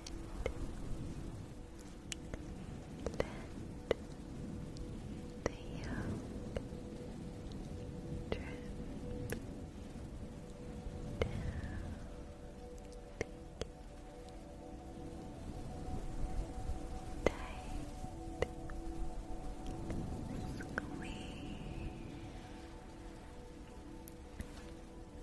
Let the yolk drip down. Tight squeeze.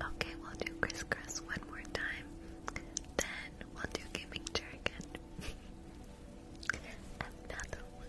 Okay, we'll do crisscross one more time. Then we'll do gaming chair again. Another one.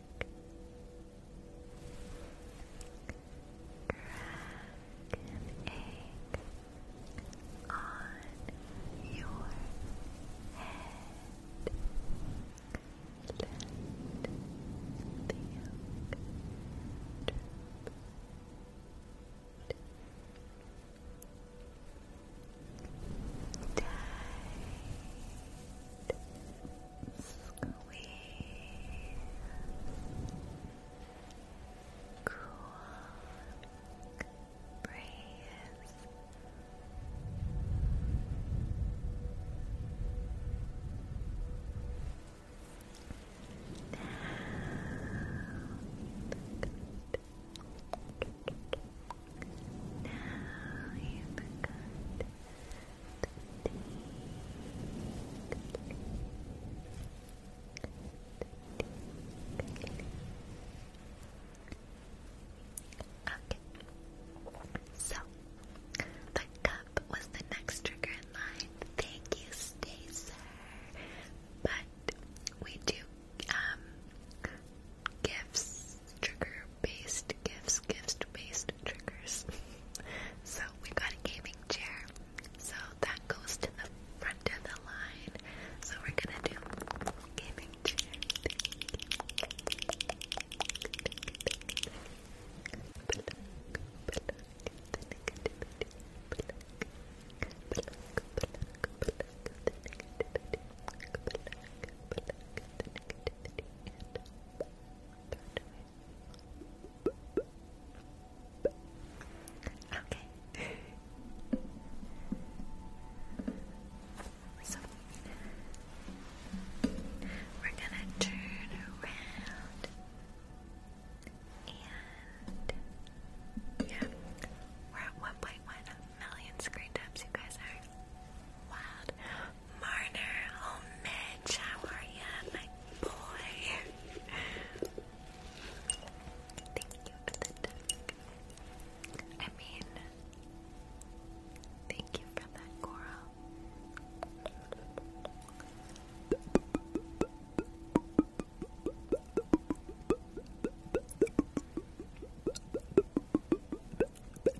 Crack an egg on your head. Let the yolk Tight. Squeeze. Cool. Breathe. Down. Now you've got Okay. So the cup was the next trigger in line. Thank you, Stacer. But we do um, gifts, trigger-based gifts, gift-based triggers. so we got a gaming chair. So that goes to the front of the line. So we're gonna do gaming chair. activity Okay. So we're gonna turn around and yeah, we're at 1.1 million screen taps. You guys are wild. Marner, oh Mitch, how are you, my boy? Thank you for the duck. I mean, thank you for that coral. No,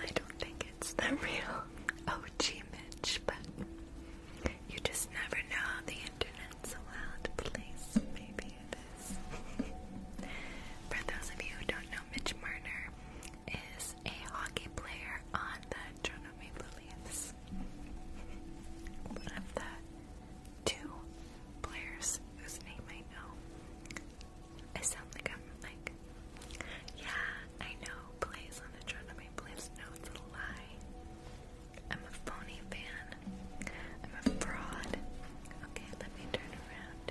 I don't think it's the real OG Mitch, but you just never know the internet's a wild place. Maybe it is. For those of you who don't know, Mitch Marner is a hockey player on the Toronto Maple Leafs. One of the two players whose name I know. I sound like I'm like, yeah, I know, plays on the Toronto Maple Leafs. No, it's a lie. I'm a phony fan. I'm a fraud. Okay, let me turn around.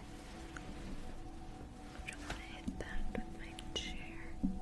don't want to hit that with my chair.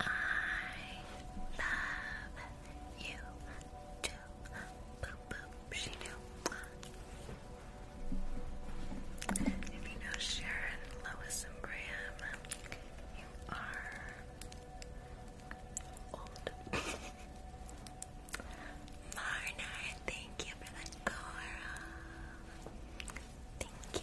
I love you too. she knew. If you know Sharon, Lois, and Graham, you are old. Marna, thank you for the coral. thank you.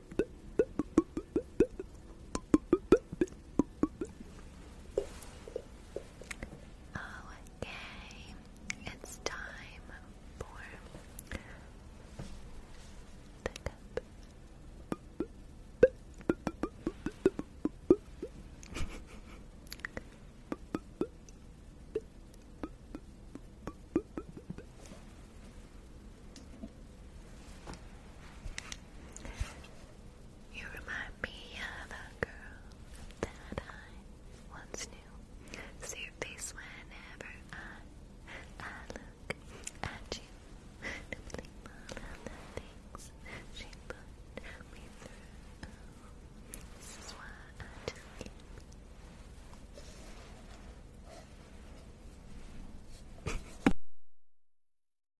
Okay, it's time for the cup. You remind me of a girl that I once knew. See your face whenever I, I look at you. To think all of the things she put me through. this is why I do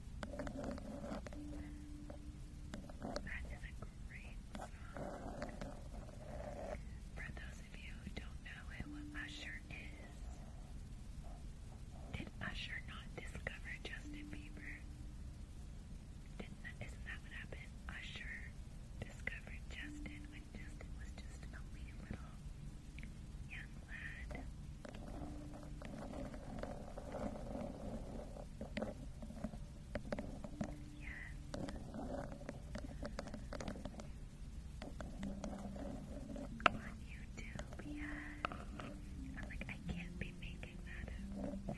That is a great song. For those of you who don't know who Usher is, did Usher not discover Justin Bieber? Didn't that what happened? Usher discovered Justin when Justin was just a little young lad. On YouTube, yeah. I'm like, I can't be making that up.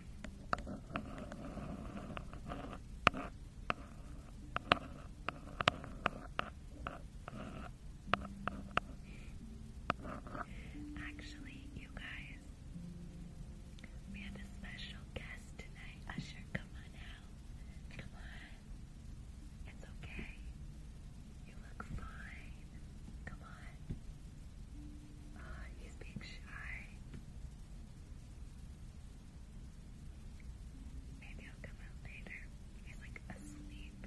Actually, you guys, we have a special guest tonight. Usher, come on out. Come on. It's okay. You look fine. Come on. Oh, he's being shy. Maybe I'll come out later. He's like asleep.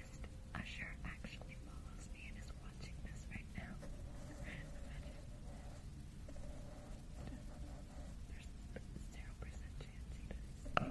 Usher actually follows me and is watching this right now. Imagine. There's zero percent chance he does.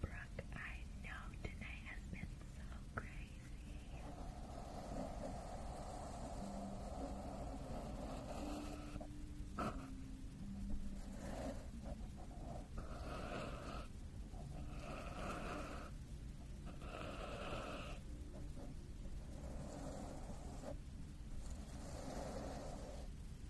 Brooke, I know tonight has been so crazy.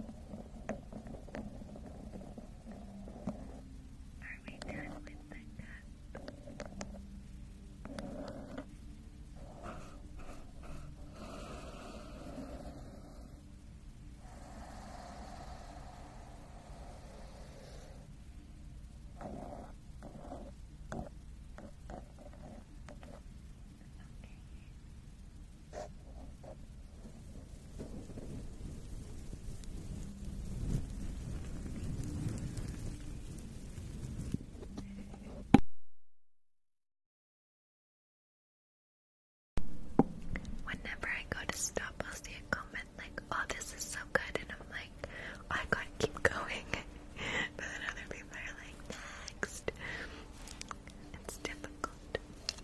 Are we done with the cup? Okay. Whenever I go to stop, I'll see a comment like, oh, this is so good, and I'm like, oh, I gotta keep going. but then other people are like, next. It's difficult.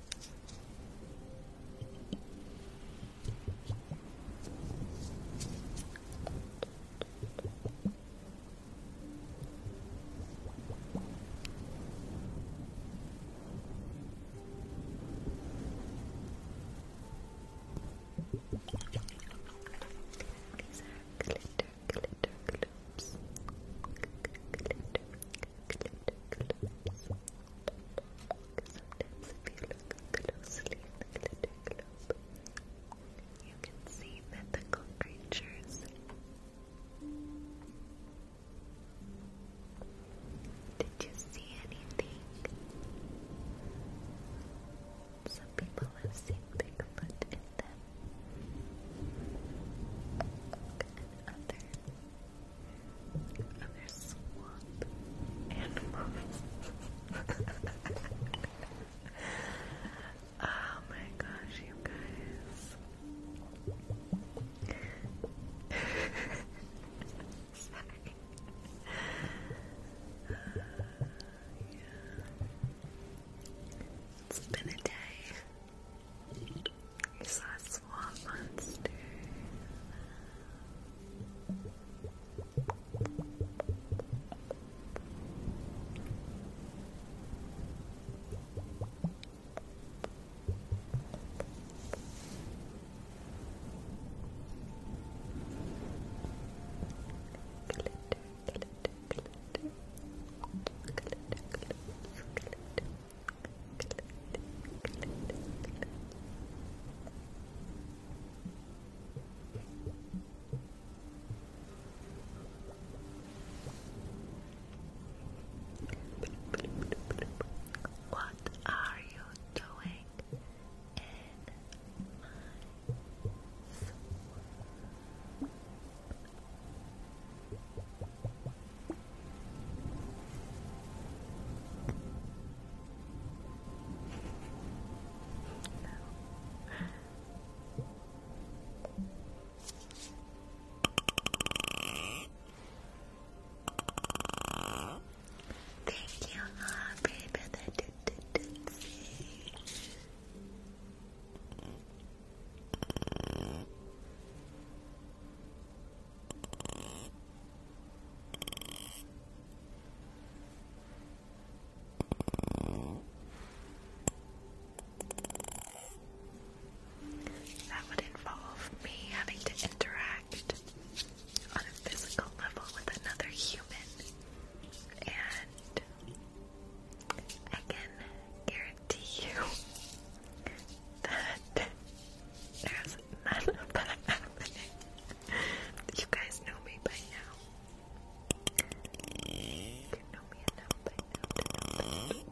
These are glitter, glitter gloops. Glitter, Sometimes you can see mythical creatures. Did you see anything? Some people have seen Bigfoot in them. And others and there's animals. oh my gosh, you guys. Sorry. Uh, it's been a day. You saw a swamp monster. Glitter, glitter, glitter. Glitter, glitter, glitter. What are you doing in my soul? Thank you, Aubrey, the do that would involve me having to interact on a physical level with another human, and I can guarantee you that there's you guys know me by now. You know me enough by now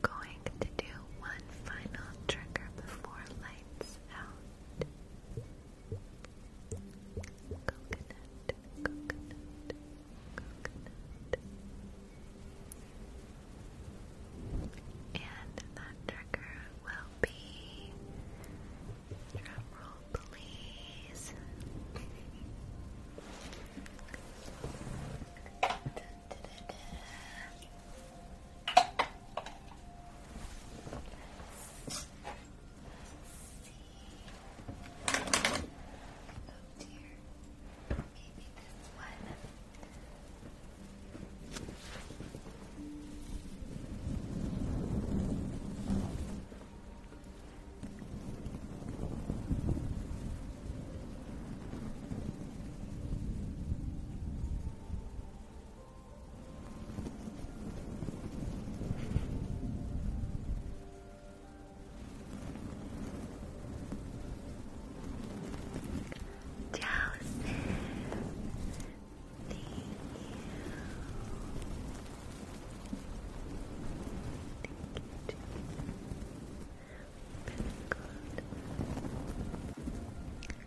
going to do one final trigger before lights out. Coconut, coconut, coconut. And that trigger will be drum roll please. dear. Maybe this one. All Joseph, thank you. Thank you,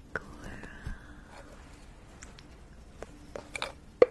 Sakura. Okay. Okay.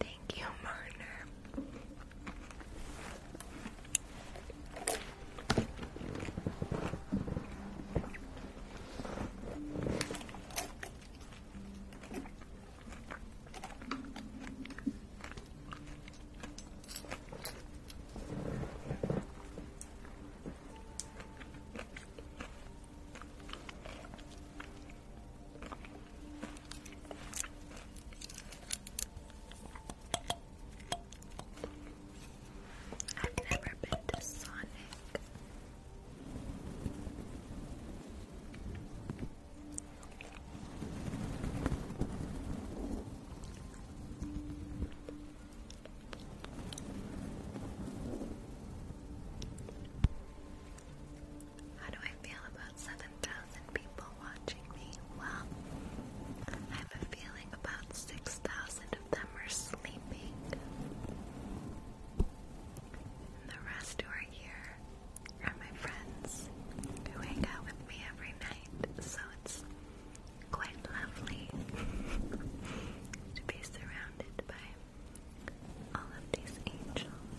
Thank you, Marner. I've never been to Sonic. How do I feel about 7,000 people watching me? Well, I have a feeling about 6,000 of them are sleeping. And the rest who are here are my friends who hang out with me every night, so it's quite lovely to be surrounded by all of these angels.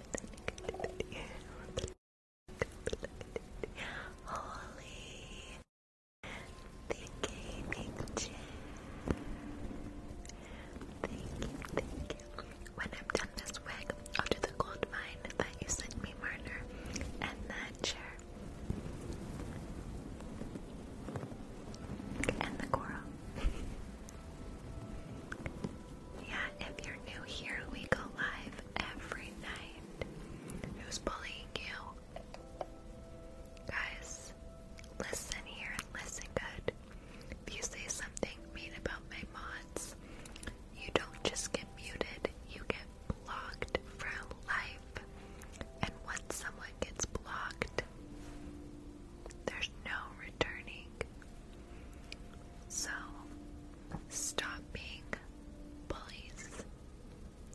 Holy, Thank you, thank you. When I'm done this wig, I'll do the gold mine that you sent me, Marner, and that chair, and the coral. Yeah, if you're new here, we go live every night. Who's bullying you? Guys, listen here and listen good. If you say something mean about my mods, you don't just get muted, you get blocked for life. And once someone gets blocked, there's no returning. So stop being bullies,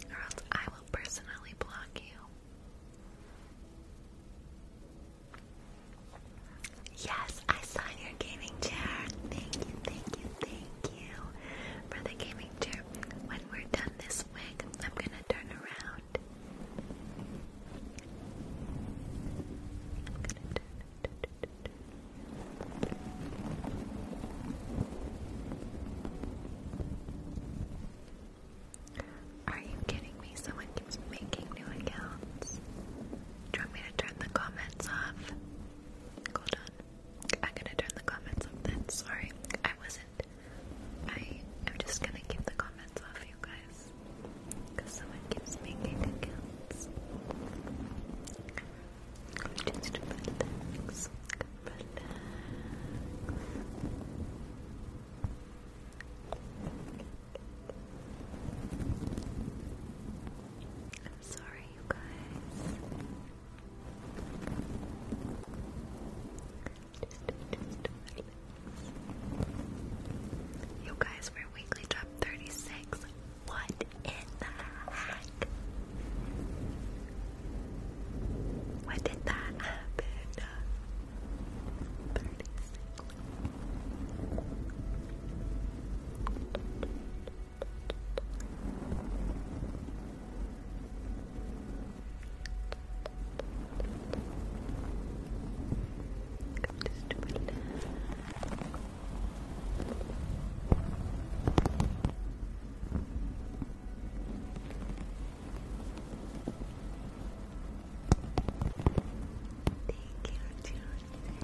or else I will personally block you. Yes, I saw your gaming chair. Thank you, thank you, thank you for the gaming chair. When we're done this wig, I'm gonna turn around. Are you kidding me? Someone keeps making new accounts. Do you want to turn the comments off? Hold on. I'm gonna turn the comments off then. Sorry, I wasn't. I, I'm just gonna keep the comments off, you guys guys. Because someone keeps making accounts. Just relax. Relax. I'm sorry, you guys. Just, just relax. You guys were weekly drop 36. What in the heck? What did that happen? 36 just to relax. Take care of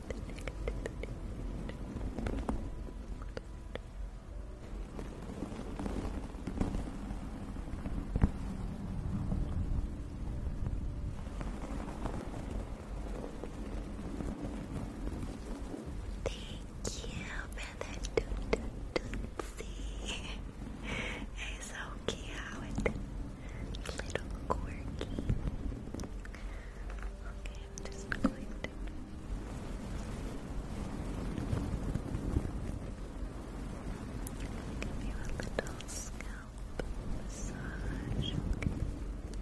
Thank you, brother Toot Tootsie. It's so cute. Little quirky. Okay, just going to. Give you a little scalp massage. Okay. Just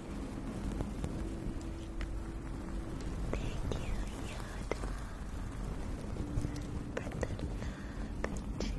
Thank you, Yoda, for the love and you, thank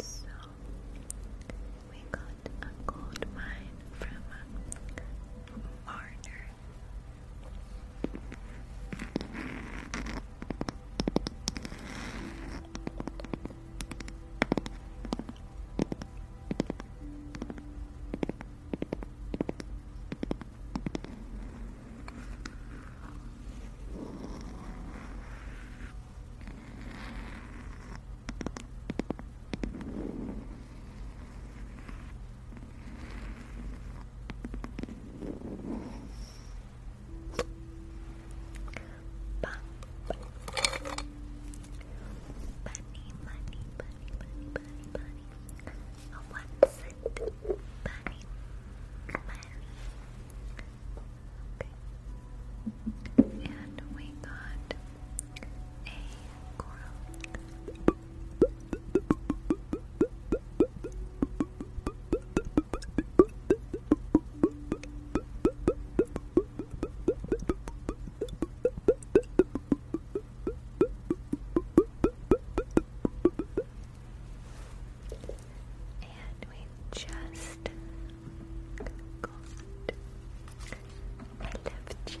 so we got a gold mine from a marner. Bunny, bunny, bunny, bunny, bunny. A one Bunny, And we got a coral and we just got I love chat.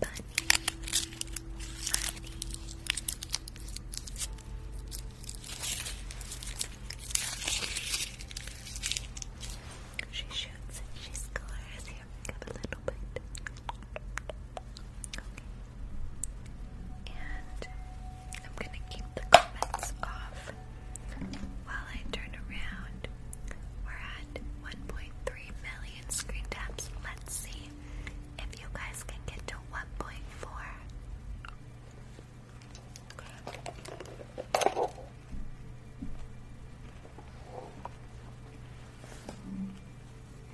Bunny. Bunny. She shoots, she scores. Here, we have a little bit. And I'm gonna keep the comments off while I turn around. We're at 1.3 million screen taps. Let's see if you guys can get to 1.4.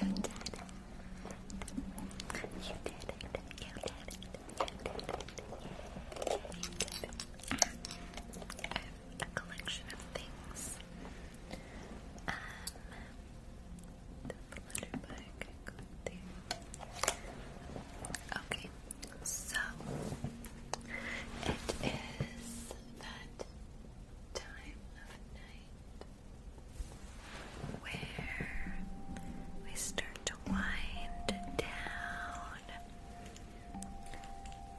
You did it. You did it. You did it. You did it. You did it. a collection of things. Um, the Flutterby Okay, so it is that time of night where we start to wind down.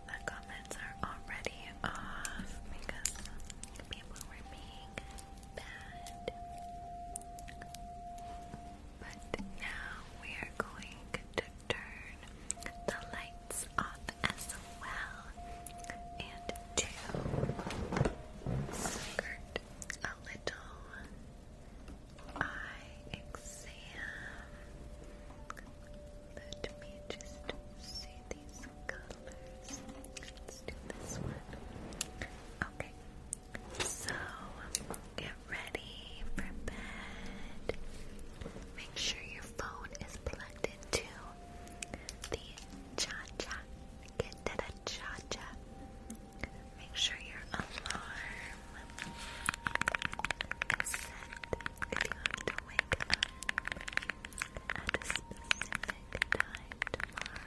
The comments are already off because people were being bad. But now we are going to turn the lights off as well and to a little eye exam. Let me just see. Okay. So, get ready for bed. Make sure your phone is plugged into the cha Get to the cha Make sure your alarm is set if you have to wake up at a specific time tomorrow.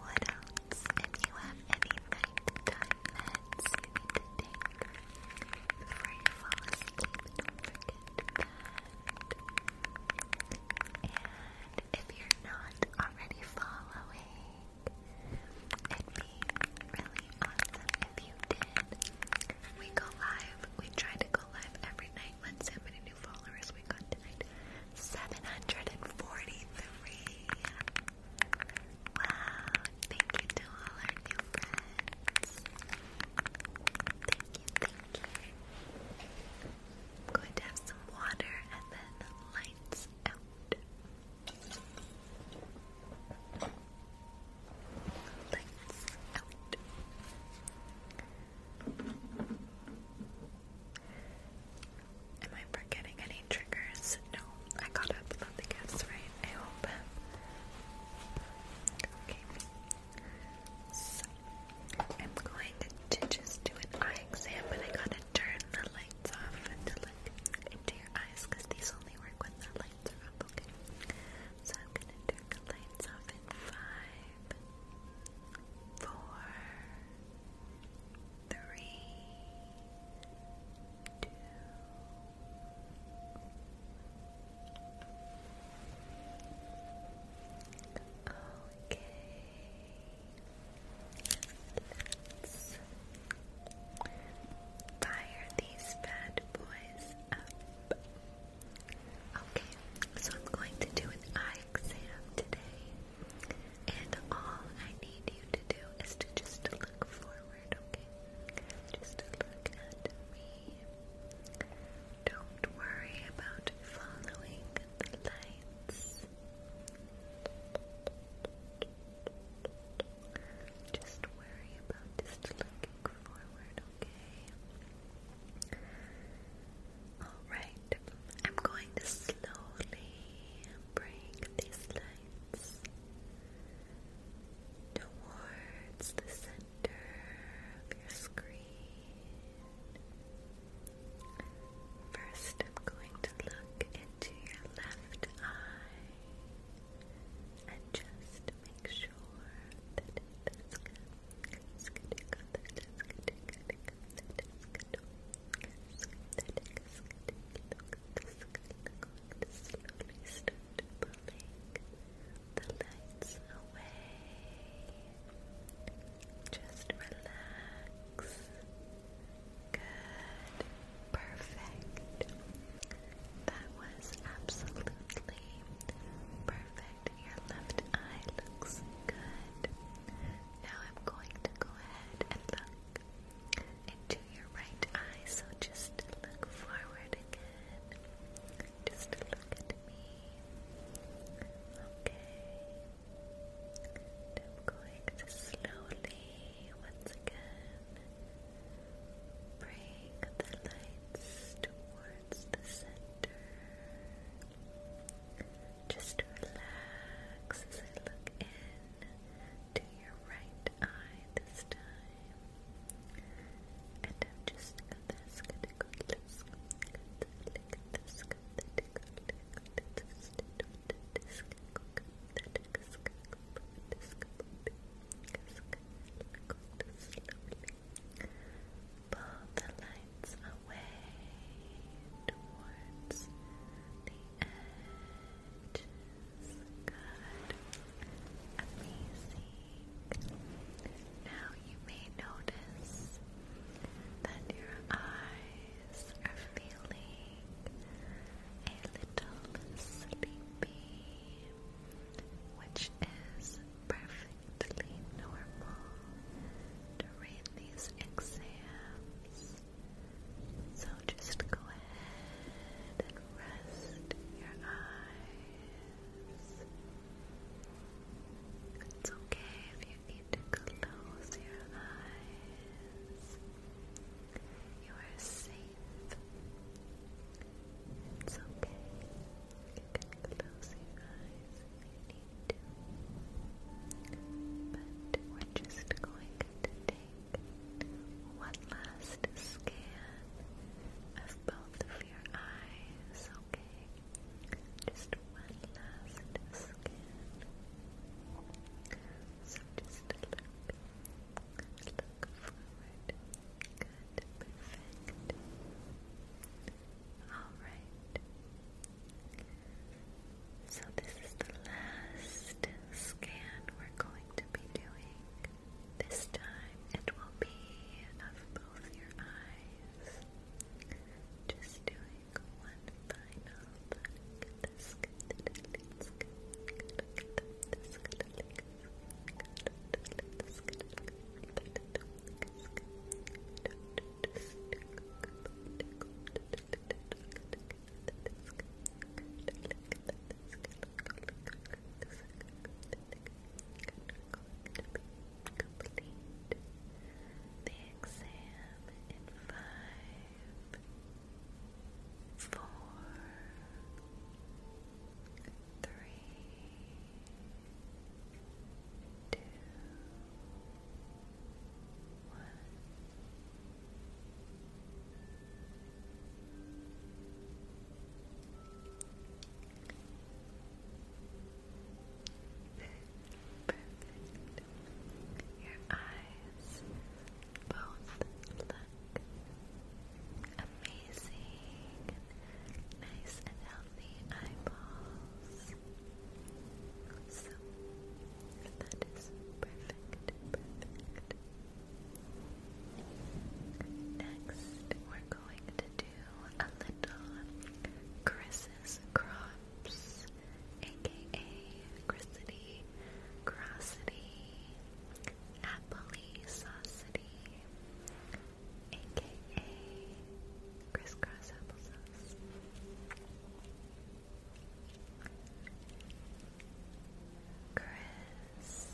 What else? If you have any nighttime meds you need to take before you fall asleep, don't forget that. And if you're not already following, it'd be really awesome if you did. We go live. We try to go live every night. Let's see how many new followers we got tonight. 743. Wow. Thank you to all our new friends. Thank you, thank you. going to have some water and then lights out. Lights out. Am I forgetting any triggers? No, I got up about the gifts, right? I hope. Okay. So, I'm going to just do an eye exam, but I gotta turn the lights off to look into your eyes because these only work when the lights are up, okay? So I'm gonna turn the lights off in five, four, three, two. Okay. Let's fire these bad boys up. Okay, so I'm going to do an eye exam today. And all I need you to do is to just look forward, okay? Just look at me. Don't worry about following the lights. Just worry about just looking okay? Alright, I'm going to slowly bring these lights towards the center of your screen. First, I'm going to look into your left eye and just make sure that slowly start pulling the lights away. Just relax. Good. Perfect. That was absolutely perfect. Your left eye looks good. Now I'm going to go ahead and look into your right eye. So just look forward again. Just look at me. Okay. I'm going to slowly once again bring the lights towards. Just relax as I look in to your right eye this time. And I'm just gonna Slowly Pull the lights away towards the edges. Good. Amazing. Now you may notice that your eyes are feeling a little sleepy, which is perfect completely normal during these exams. So just go ahead and rest your eyes. It's okay if you need to close your eyes. You are safe. It's okay. You eyes you need to. But we're just going to take one last scan of both of your eyes, okay? Just one last scan. So just look forward, Good, perfect. Alright. So, this is the last scan we're going to be doing. This time it will be of both your eyes. Just doing one final. Look the exam in five, four, three, two, one. Perfect. Your eyes both look amazing, nice and the eyeballs. So that is perfect, perfect. Next, we're going to do a little Chris's Crops, aka Chrisity, Crossity, Appley Saucity, aka Crisscross Applesauce. Criss Applesauce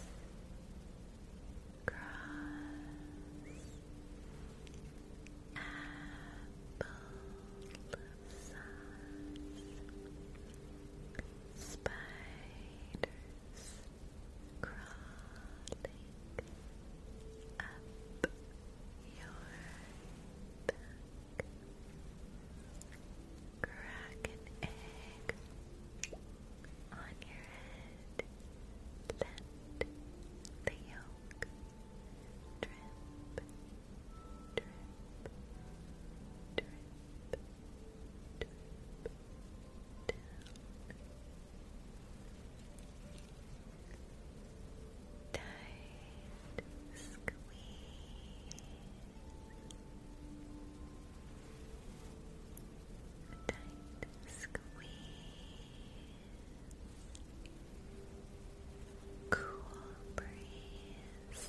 Spiders Crawling up your back. Crack an egg on your head. Let the yolk drip, drip, drip, drip down Tight squeeze. Tight squeeze. Cool breeze.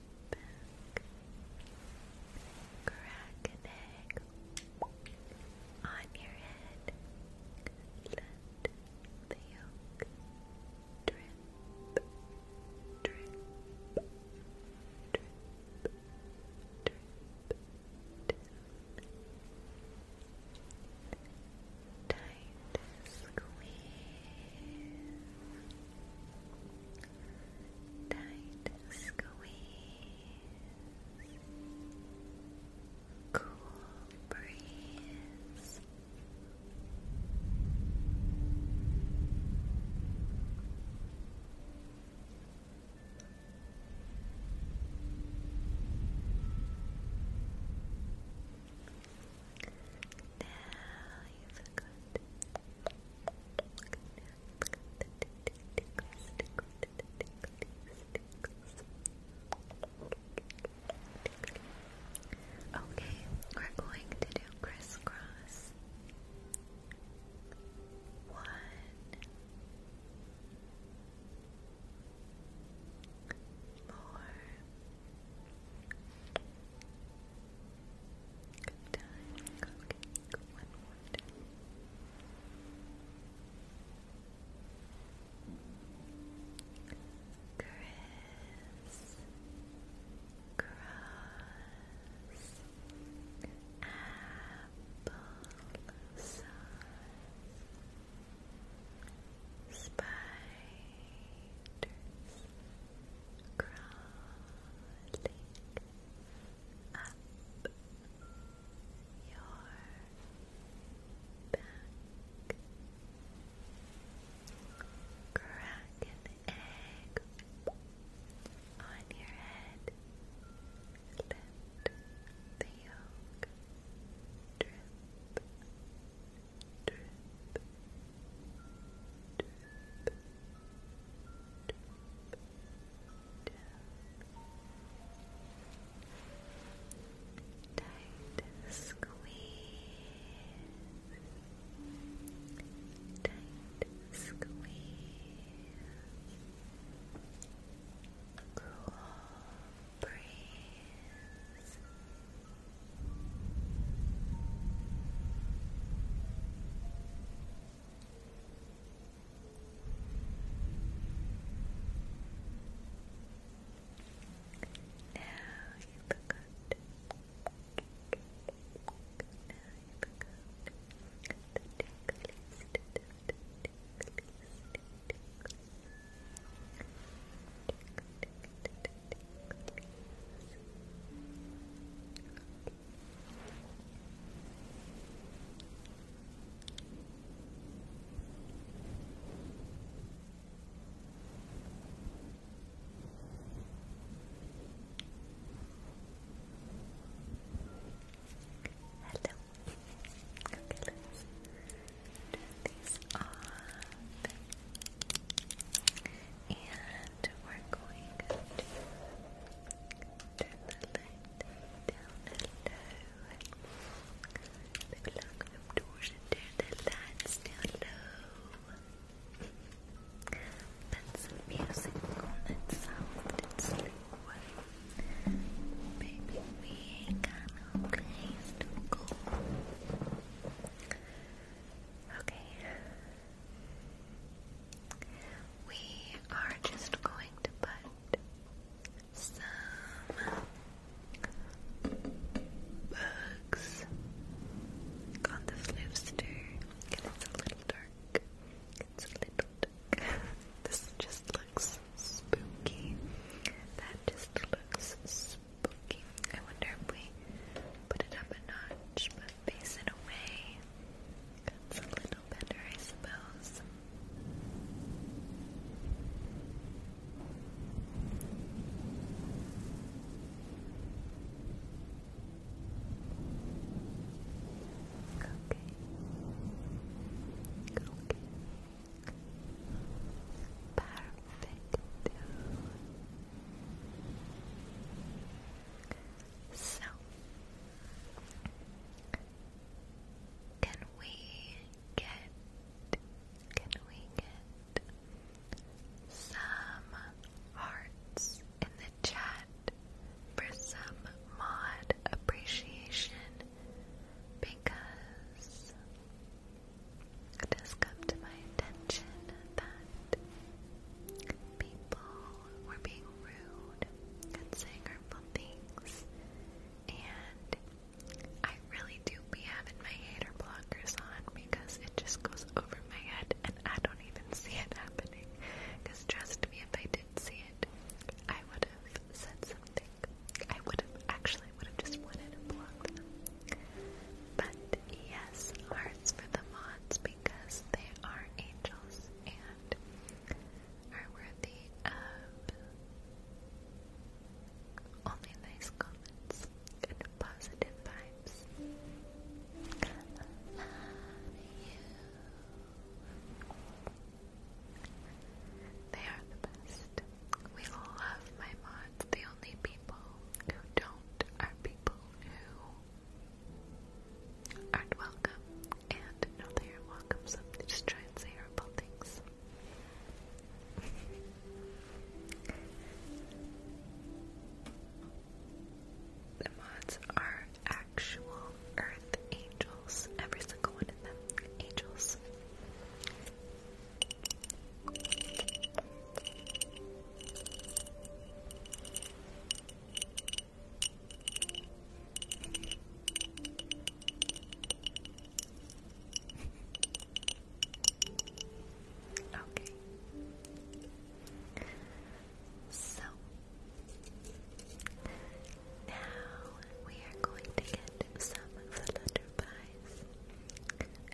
back. Crack an egg on your head. Let the yolk drip, drip, drip, drip down. Tight squeeze. Tight squeeze. Cool breeze. Now you Okay, we're going to do crisscross. One, more. Good time, Chris, cross, apple spiders, crawling up your back. Crack egg on your head. Let the yolk drip drip, drip, Tight squeeze. Tight squeeze. Cool breeze. Now you look good. Now you look good. The ticklies, the ticklies, ticklies. Tickle, tickle, tickle, Hello. Okay, let's turn these off. Uh, and we're going to turn the light down low. Maybe lock the doors and turn the lights down low. Put some music on that sound and slow. Maybe we ain't got to go. Okay, we are just going to put some bugs on this lipster. And it's a little dark. It's a little dark. this just looks spooky. That just looks spooky. I wonder if we put it up a notch, face away. That's a little better, I suppose. Okay. Okay. Perfect. So, can we get, can we get some hearts in the chat for some mod appreciation? Because it has come to my attention that people were being rude and saying hurtful things, and I really do be having my hater blockers on because it just goes over my head and I don't even see it happening. trust me, if I did see it, I would have said something. I would have actually would have just wanted to block them. But yes, hearts for the mods because they are angels and are worthy of only nice comments and positive vibes. Love you. They are the best. We love my mods. The only people who don't are people who aren't welcome and know they are welcome, so just try and say horrible things. the mods are actual earth angels, every single one of them. Angels okay. So now we are going to get some flutterflies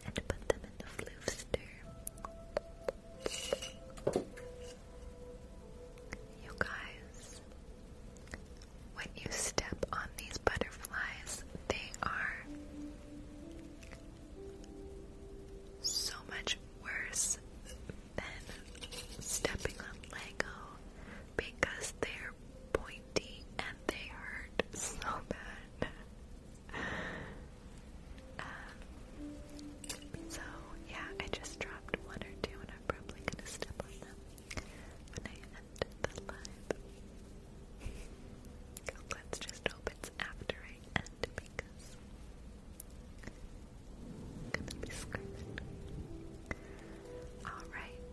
and put them in the floofster. You guys, when you step on these butterflies, they are so much worse than stepping on Lego because they're pointy and they hurt so bad. Um, so yeah, I just dropped one or two, and I'm probably gonna step on them when I end the live. Let's just hope it's after I end because i gonna be screaming. Alright.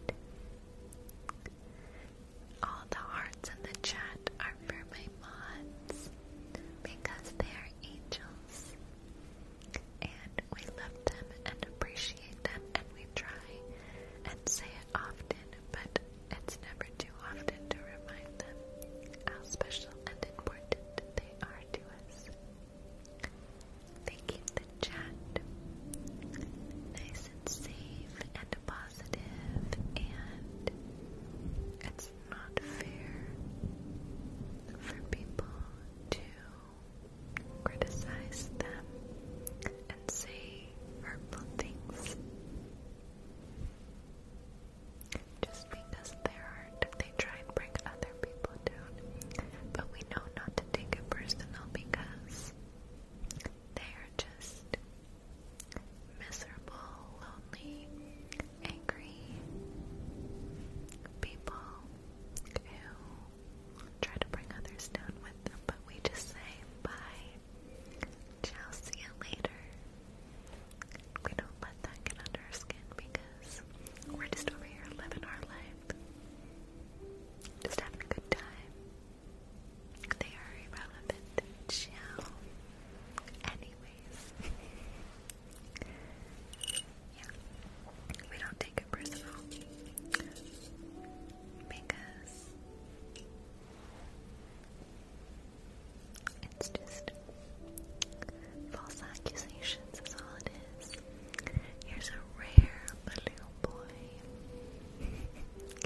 All the hearts in the chat are for my mods because they are angels. And we love them and appreciate them, and we try and say it often, but it's never too often to remind them how special and important they are to us. Thank you, the chat. Nice and safe and positive, and it's not fair for people to criticize them and say hurtful things just because they're hard they try and bring other people down but we know not to take it personal because they are just miserable, lonely angry people who try to bring others down with them, but we just say bye, ciao, see you later. We don't let that get under our skin because we're just over here living our life, just having a good time. They are irrelevant. Anyways. We don't take it personal. Because it's just false accusations is all it is. Here's a rare blue boy.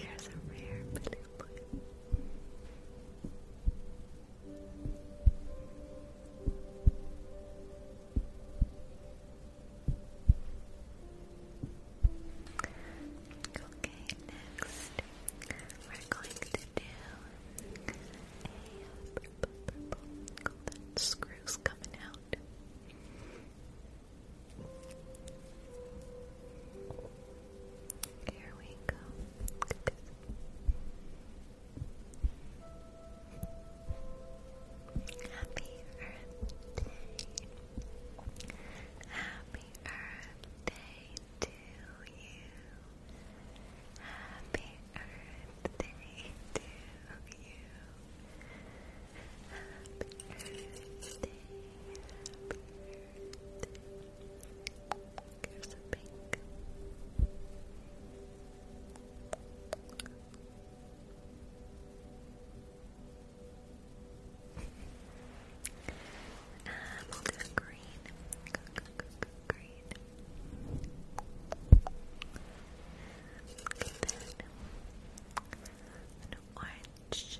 Here's a rare blue boy. Okay, next we're going to do a purple, purple. Oh, that screw's coming out. Here we go. Happy Earth Day. Happy Earth Day to you. Happy Earth Day to you. Happy Earth Day. Here's a pink. green. Go, green. Okay, orange.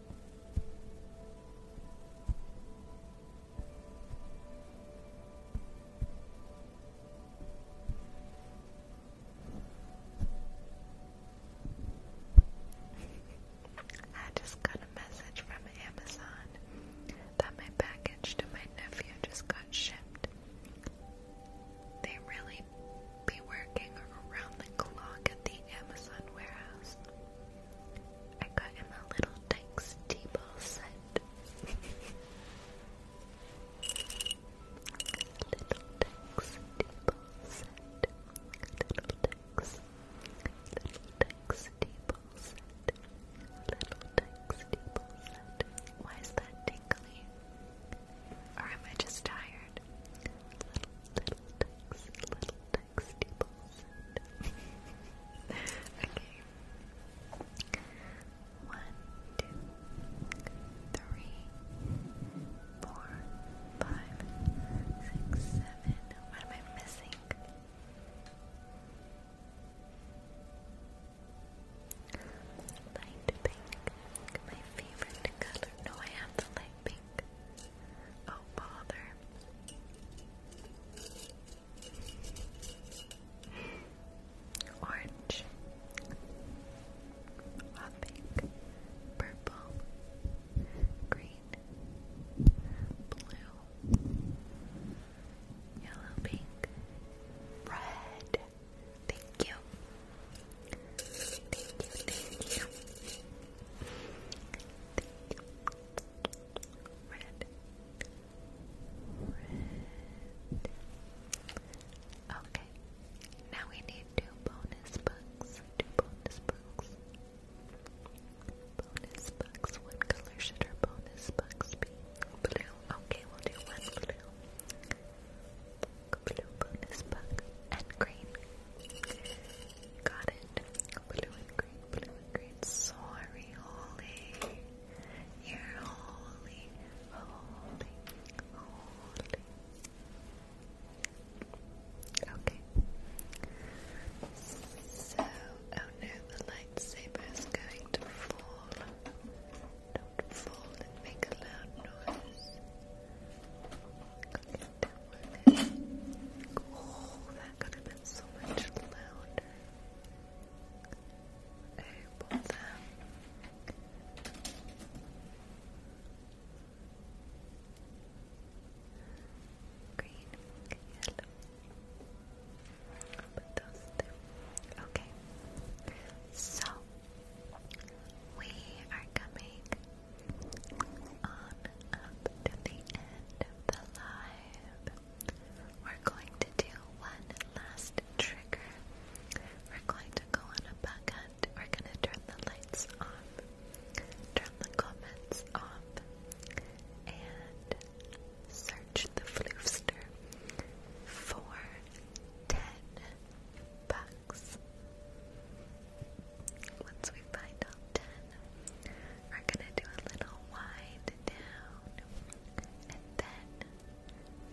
I just got a message from Amazon that my package to my nephew just got shipped. They really be working around the clock at the Amazon warehouse. I got him a little Dick's tea ball set. little Dick's tea set. Little Dick's. Little Dick's tea set. Little Dick's tea set. Why is that tingly? Or am I just tired? Little Dick's. Little 60%. okay. One, two, three, four, five, six, seven. What am I missing? Light pink, my favorite color. No, I have the light pink. Oh, bother. Orange, hot pink, purple, green, blue, yellow, pink, red. Thank you. Thank you, thank you. Thank you, Red. Red. Okay. Now we need two bonus books. Two bonus books. Bonus books. What color should our bonus books be? Blue. Okay, we'll do one blue. Blue bonus book and green. Got it. Blue and green, blue and green. Sorry, holy. You're holy, holy, holy. Okay. So, oh no, the lightsaber is going to fall. Don't fall and make a loud noise. Okay downward. Oh, that could have been so much louder. Okay, pull them. Green, Okay. So we are coming on up to the end of the live, we're going to do one last trigger. We're going to go on a bug hunt. We're going to turn the lights off, turn the comments off, and search the floofster for ten bucks. Once we find all ten, we're gonna do a little wind down, and then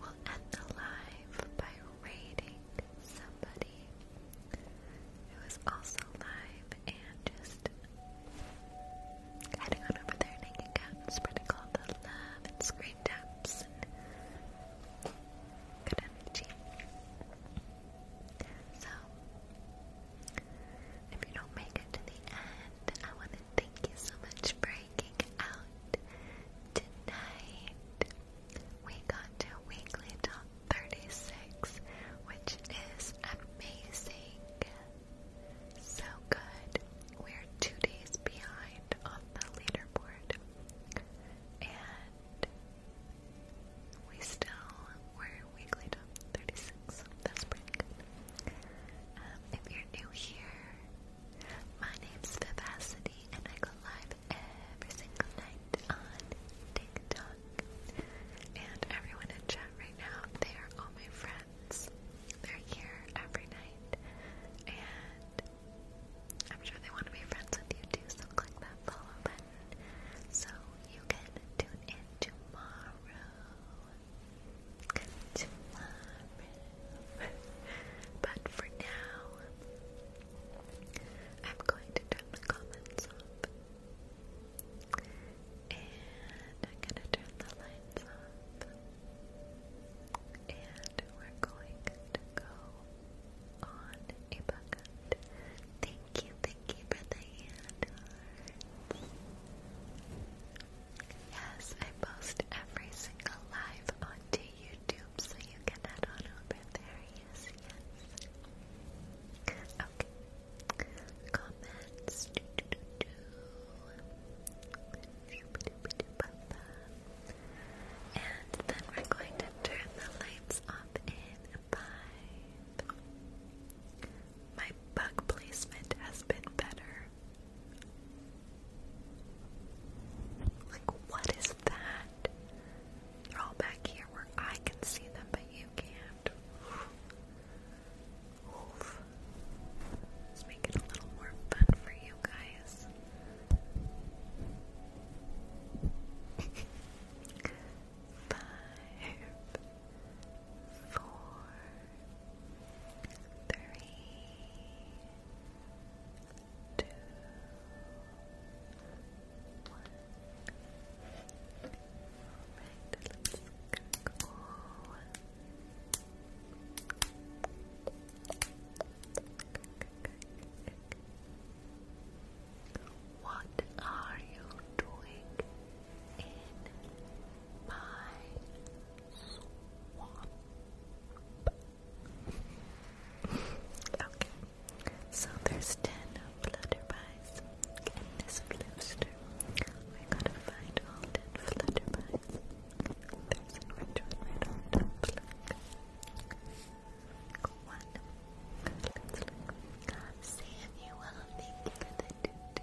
we'll end the live by rating somebody who is also live and just heading on over there and hanging spreading all the love and screen taps good energy. So, if you don't make it to the end, I want to thank you so much for breaking out tonight. We got to weekly top 36, which is amazing. So good. We're two days behind on the leaderboard. And we still were weekly 36. That's pretty um, if you're new here, my name's Vivacity, and I go live every single night on TikTok. And everyone in chat right now, they are all my friends. They're here every night, and I'm sure they want to be friends with you too, so click that follow button so you can tune in tomorrow. But for now, I'm going to turn the comments off. And I'm going to turn the lights off. And we're going to go on a book Thank you, thank you for the hand Yes, I post every single live onto YouTube, so you can head on over there. Yes, yes. Okay. Comments. Do, do, do, do. And then we're going to turn the lights off in five. My bug placement has been better. Like, what is that? They're all back here where I can see them, but you can't. Let's make it a little more fun for you guys. Five, four, three, two, one. Alright, let's go. What are you doing? okay, so there's ten flutterbies in this blister. I gotta find all ten flutterbies. There's an orange one One. Samuel, thank you the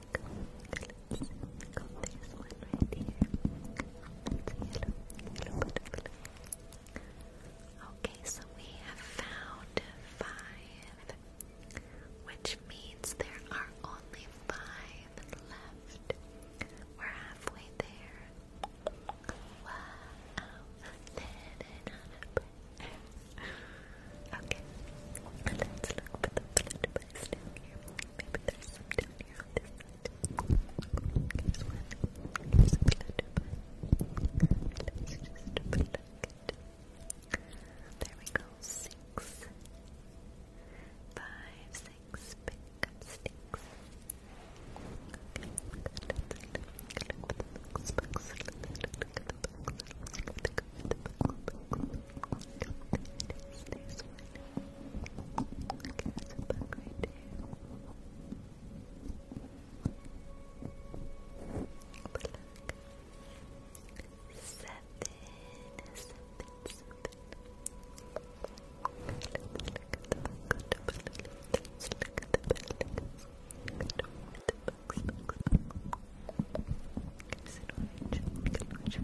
Okay, so we have found five, which means there are only five left. We're halfway there. okay, let's look for the flutterbuzz down here. Maybe there's There we go. Six. Okay, that's a bug right there. But look. Seven, seven, seven. Let's look at the bug. look at the bug. look at the bugs. Bugs, bugs. Is it orange?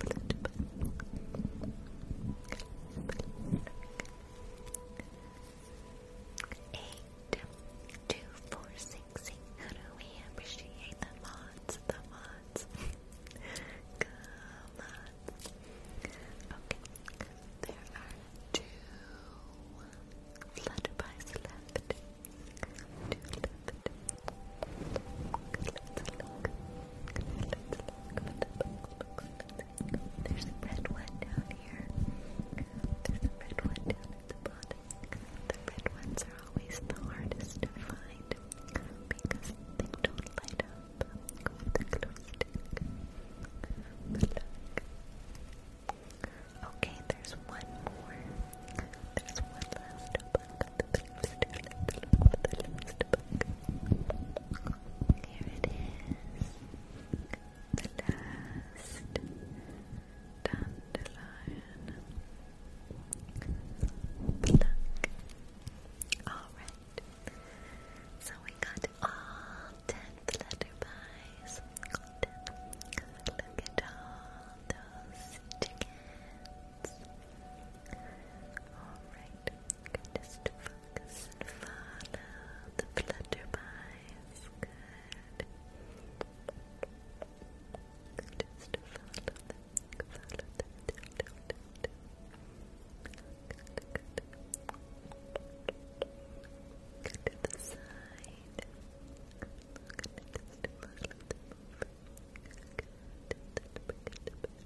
Orange, orange, orange, Eight, two, four, six, six. How do we appreciate the mods? The mods. Come on. Okay, there are two flutterbys left. There's a red one down here. There's a red one down at the bottom. The red ones are always the hardest to find because they don't light up with the glow Okay, there's one more. There's one last book. The last book. The last book. Here it is. The last dandelion. Pluck. Alright. So we got all ten flutterpies. Look at all those chickens. Alright. Just to follow the flutterby's Just to follow them, follow them. Good, good. Good to the side. Good, just to follow them. Good, good, good.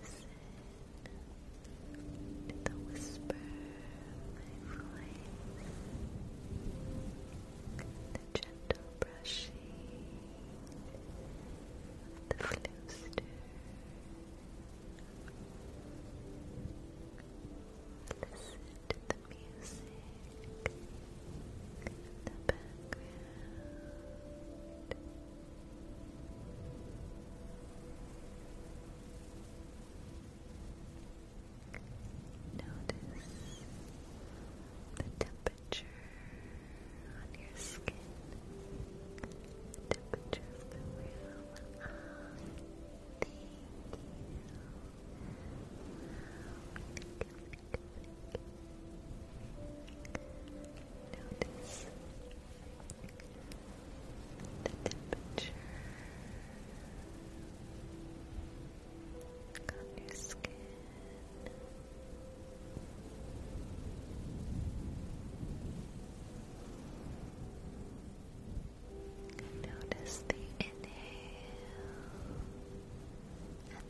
Listen to the whisper the gentle brushing the flooster. Listen to the music Notice the temperature on your skin, temperature of the room. thank you. Notice the temperature on your skin. Notice the inhale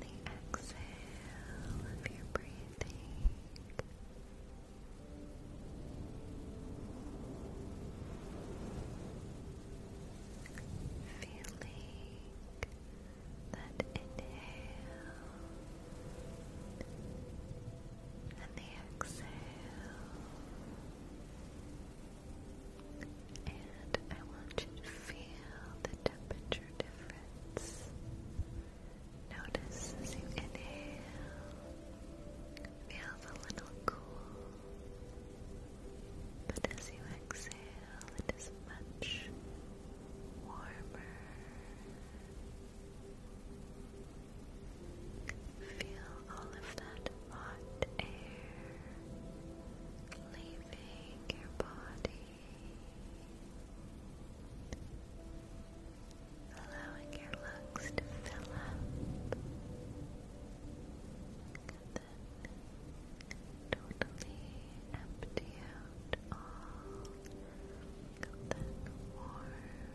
the exhale of your breathing. Feeling that inhale and the exhale, and I want you to feel the temperature difference. Notice as you inhale, feels a little cool, but as you exhale, it is much warmer. Feel all of that hot air leaving your body allowing your lungs to fill up. then totally empty out all that warm air.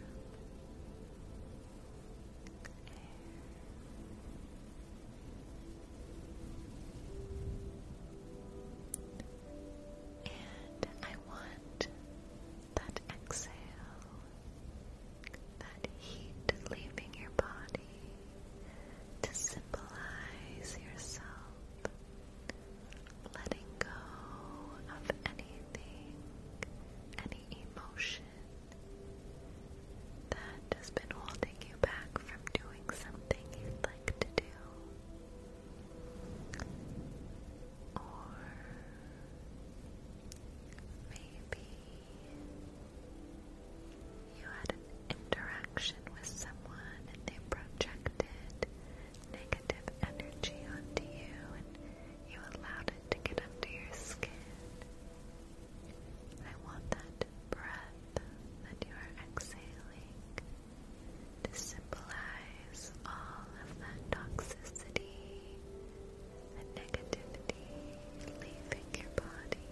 And I want that exhale, that heat leaving your body to symbolize yourself letting go of anything, any emotion that has been holding you back from doing something you'd like to do. Or maybe you had an interaction with someone and they projected negative energy onto you and you allowed it to get under your skin. I want that breath that you are exhaling to symbolize all of that toxicity and negativity leaving your body.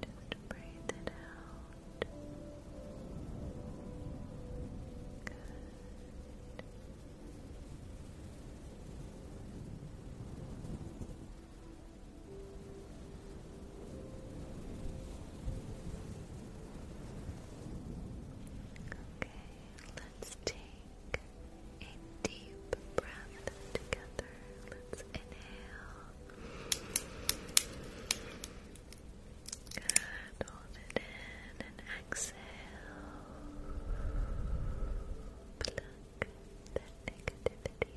Just breathe it out. Good. Okay, let's take a deep breath together. Let's inhale. Good. Hold it in and exhale. Pluck that negativity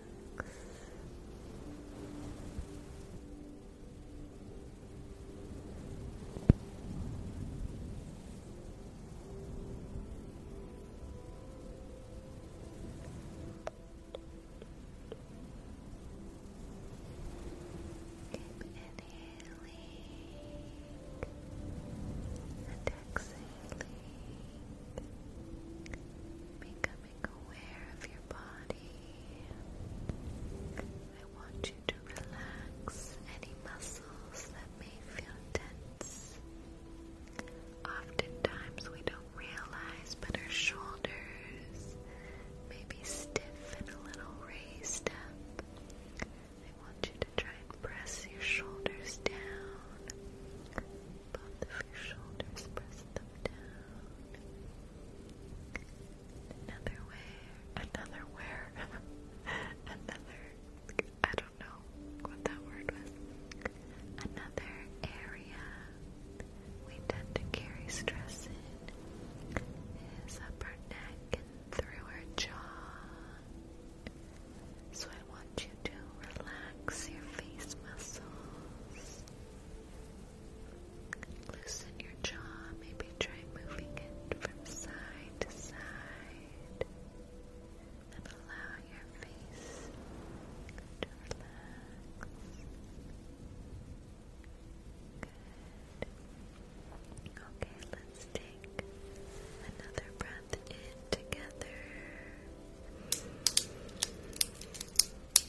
Keep inhaling and exhaling. Make aware of your body. I want you to relax any muscles that may feel tense. Oftentimes we don't realize, but our shoulders may be stiff and a little raised I want you to try and press your shoulders down both of shoulders, press them down. Another way, another where, another, I don't know what that word was, another area we tend to carry stress in is up neck and through our jaw. So I want you to relax your face muscles. Loosen your jaw, maybe try moving it from side to side, and allow your face to relax. Good. Okay, let's take another breath in together.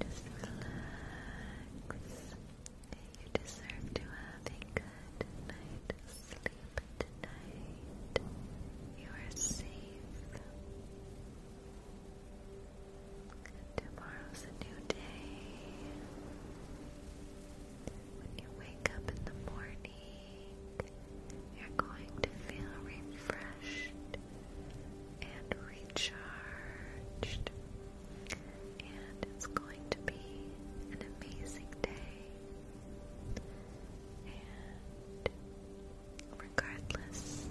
Just relax. You deserve to have a good night's sleep tonight. You are safe. Tomorrow's a new day. When you wake up in the morning, you're going to feel refreshed and recharged. And it's going to be an amazing day. And regardless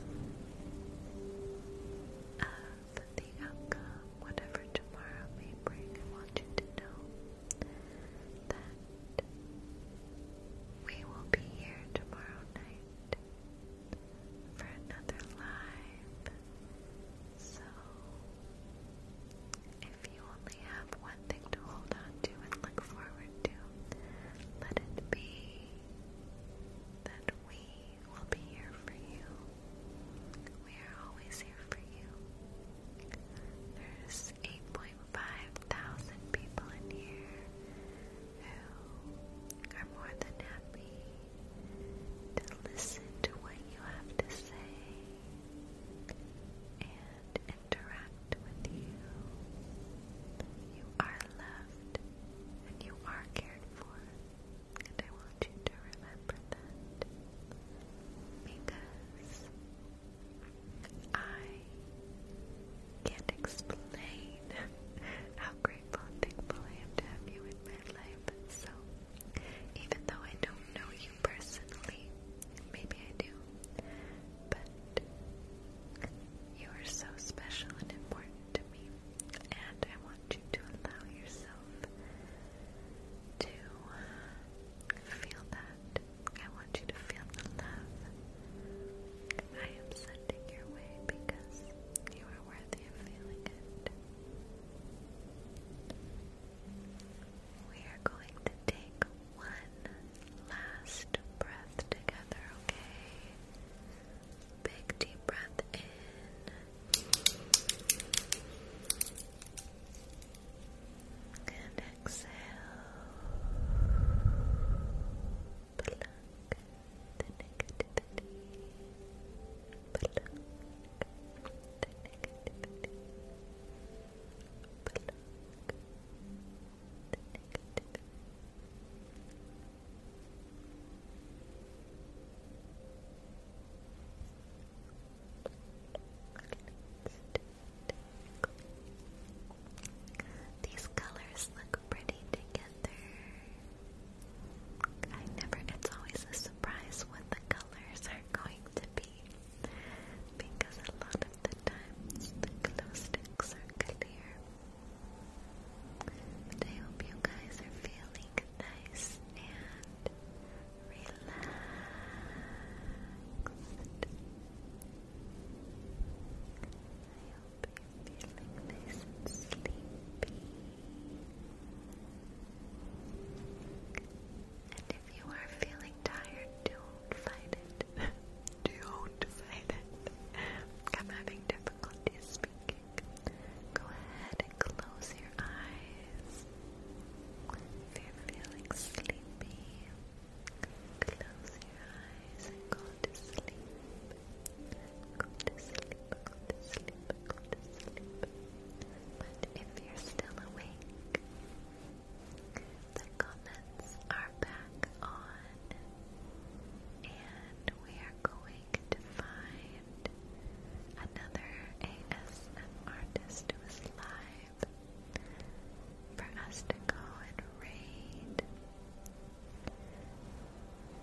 of the outcome, whatever tomorrow may bring, I want you to know that we will be here tomorrow night for another live. So, if you only have one thing to hold on to and look forward to, let it be that we will be here for you. We are always here for you. There's 8.5 thousand people in here who are more than happy to listen to what you have to say and interact with you. You are loved and you are cared for, and I want you to remember that because I can't explain how great grateful and thankful I to have you in my life. So, even though I don't know you personally, maybe I do, but you are so special and important to me, and I want you to allow yourself to feel that. I want you to feel the love I am sending your way because you are worthy of feeling it. We are going to take one last breath together, okay? Big deep breath in. And exhale. Pluck the These colors look pretty together. I never, it's always a surprise what the colors are going to be because a lot of the times the glow sticks are clear. I hope you guys are feeling nice and relaxed be feeling nice and sleepy. And if you are feeling tired, don't fight it. don't fight it. I'm having difficulty speaking. Go ahead and close your eyes. If you're feeling sleepy, close your eyes and go to sleep. Go to sleep, go to sleep, go to sleep. But if you're still awake, the comments are back on, and we are going to find another ASM artist who is live for us to go and raid.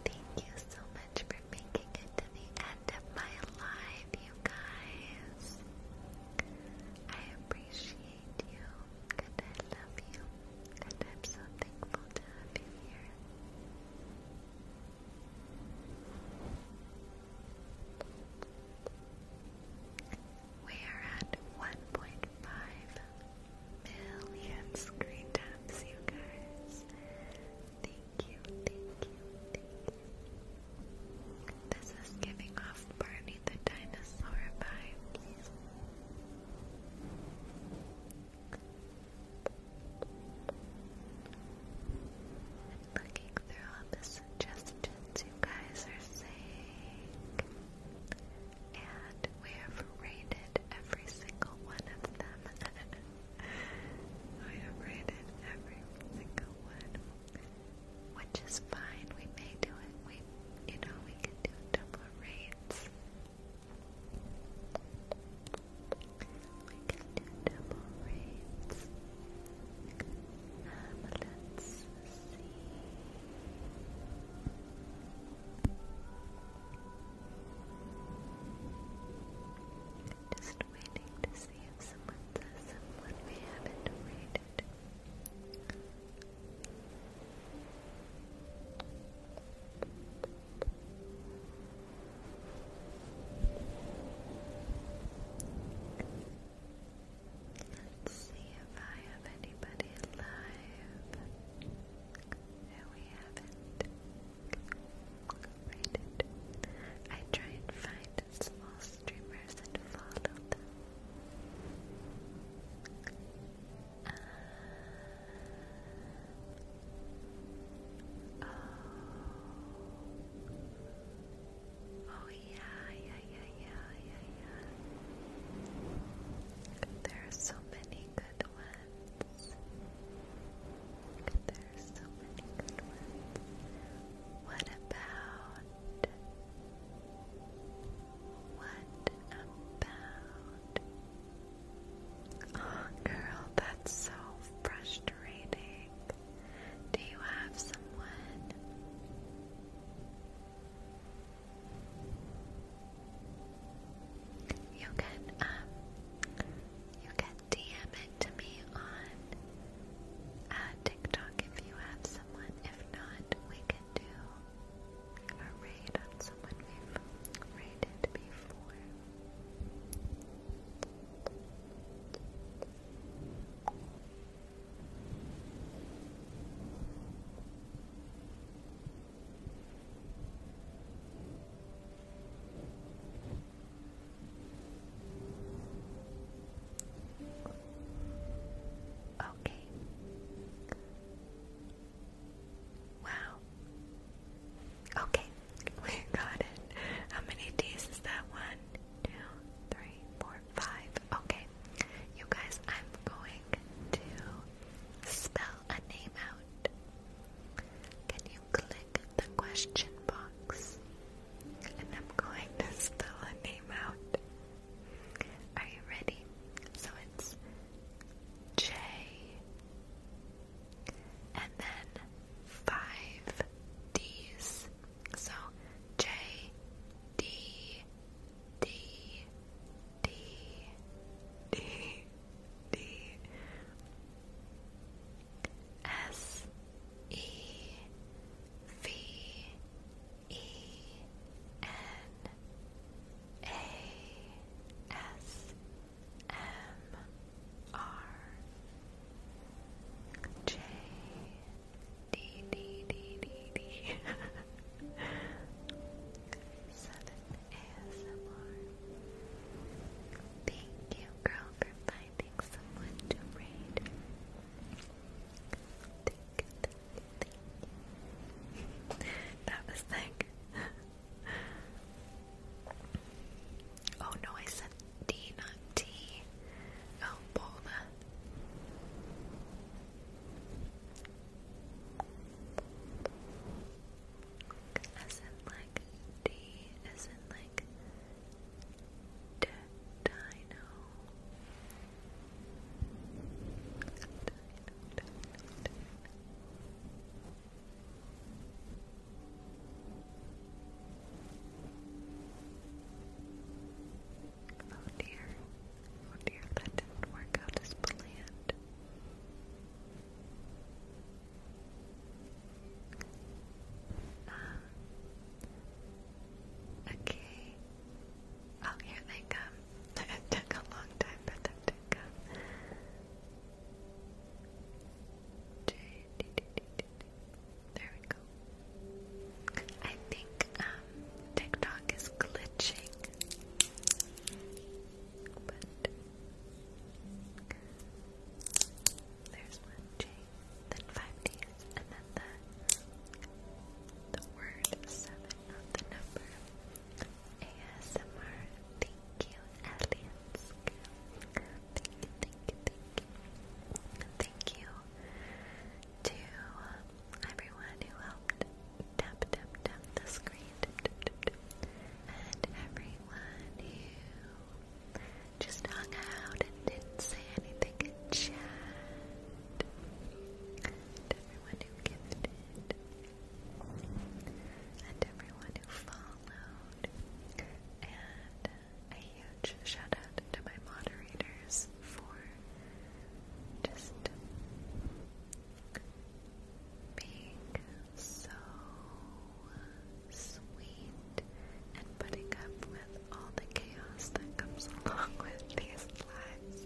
Thank you so much much for making it to the end of my live, you guys. I appreciate you, and I love you, and I'm so thankful to have you here. We are at 1.5 million screen taps, you guys thank you, This is giving off Barney the dinosaur vibes. looking through all the suggestions you guys are saying. And we have rated every single one of them. I have read it every single one, which is fine. We may do it. We, you know, we can do double reads. We can do double reads. Um, let's see. Just waiting to see if someone does someone we haven't read Let's see if I have anybody live who we haven't. I try and find small streamers and follow them. Uh, oh. yeah, yeah, yeah, yeah, yeah, yeah. There are so many good good ones. There's so many good ones. What about? What about? Oh, girl, that's so frustrating. Do you have someone? You can um you can DM comment to me on uh, TikTok if you have someone. If not, we can do a raid on someone we've raided before. Okay. Wow. Okay, we got it. How many D's is that? One, two, three, four, five. Okay. You guys, I'm going to spell a name out. Can you you click the question box, and I'm going to spell a name out. Are you ready? So it's J, and then five D's. So J, D, D, D, D, D. S E V E N A S M R J D D D D D Seven ASMR Thank you, girl, for Thank you, that was like. oh no, I said D, not T. Oh, Bola. As in like D, as in like like D Oh dear, oh dear, that didn't work out as planned. Uh, okay. Oh, here they come. it took a long time for them to come. There we go. I think um, TikTok is glitching, but there's one J, then five D's, and then the the word seven, not the number. ASMR. Thank you, aliens. Thank you, thank you, thank you. Thank you to everyone who helped tap tap tap the screen. And everyone who just hung out and didn't say anything in chat. And everyone who gifted. And everyone who followed. And a huge shout out to my moderators for just being so sweet and putting up with all the chaos that comes along with these lives.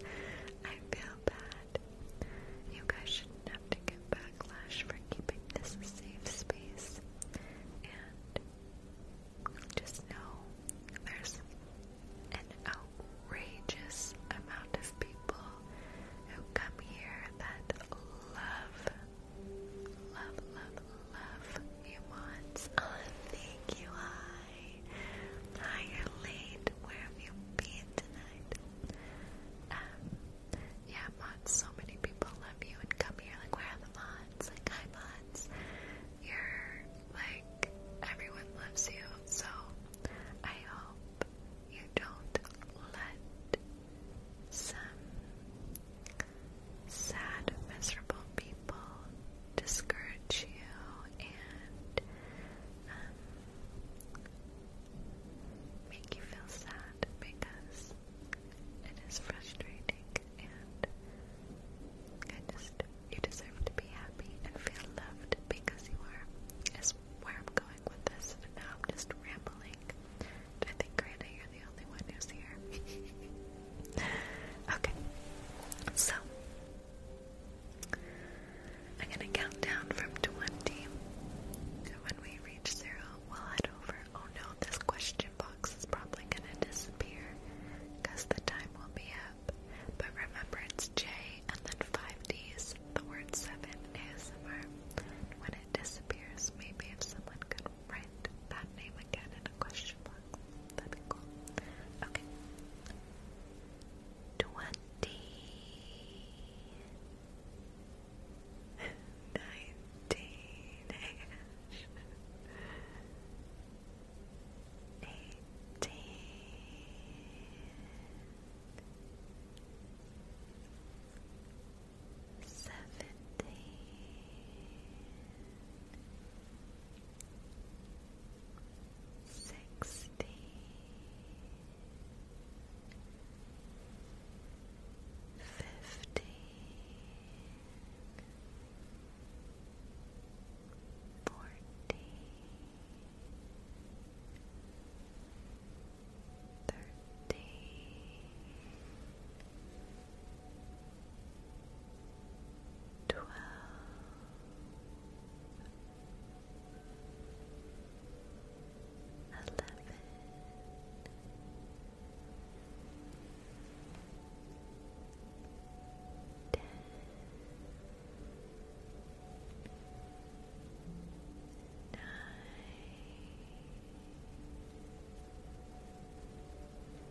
I feel bad. You guys shouldn't get backlash for keeping this safe space. And just know there's an outrageous amount of people who come here that love Love, love, love you want. Oh, thank you. Hi. Hi, you're late. Where have you been tonight? Um, yeah, mods, so many people love you and come here. Like, where are the mods? Like, hi, mods. You're, like, everyone loves you. So, I hope you don't let some sad, miserable people discourage you and um, make you feel sad because it is frustrating and I just you deserve to be happy and feel loved because you are is where I'm going with this now I'm just rambling I think, Granda, you're the only one who's here. okay, so I'm gonna count down from 20, and when we reach zero, we'll head over. Oh no, this question box is probably gonna disappear because the time will be up. But remember, it's J and then five D's. The word seven ASMR. When it disappears, maybe if someone could write that name again in a question box. That'd be cool. Okay. Twenty nineteen eighteen seventeen sixteen fifteen fourteen Thirteen, twelve eleven ten Nine,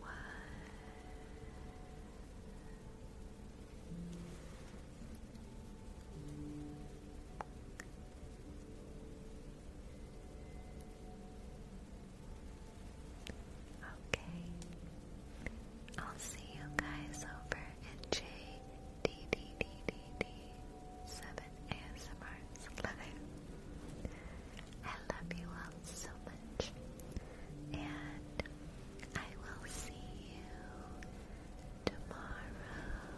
one. Okay. I'll see you guys over at JDDDD7ASMRs. Love it. I love you all so much and I will see you tomorrow.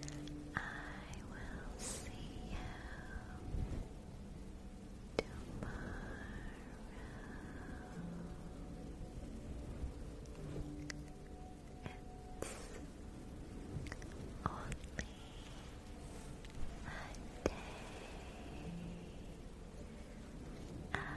Tomorrow, I will see you tomorrow. It's only a day away. Good night. Good night. Good night.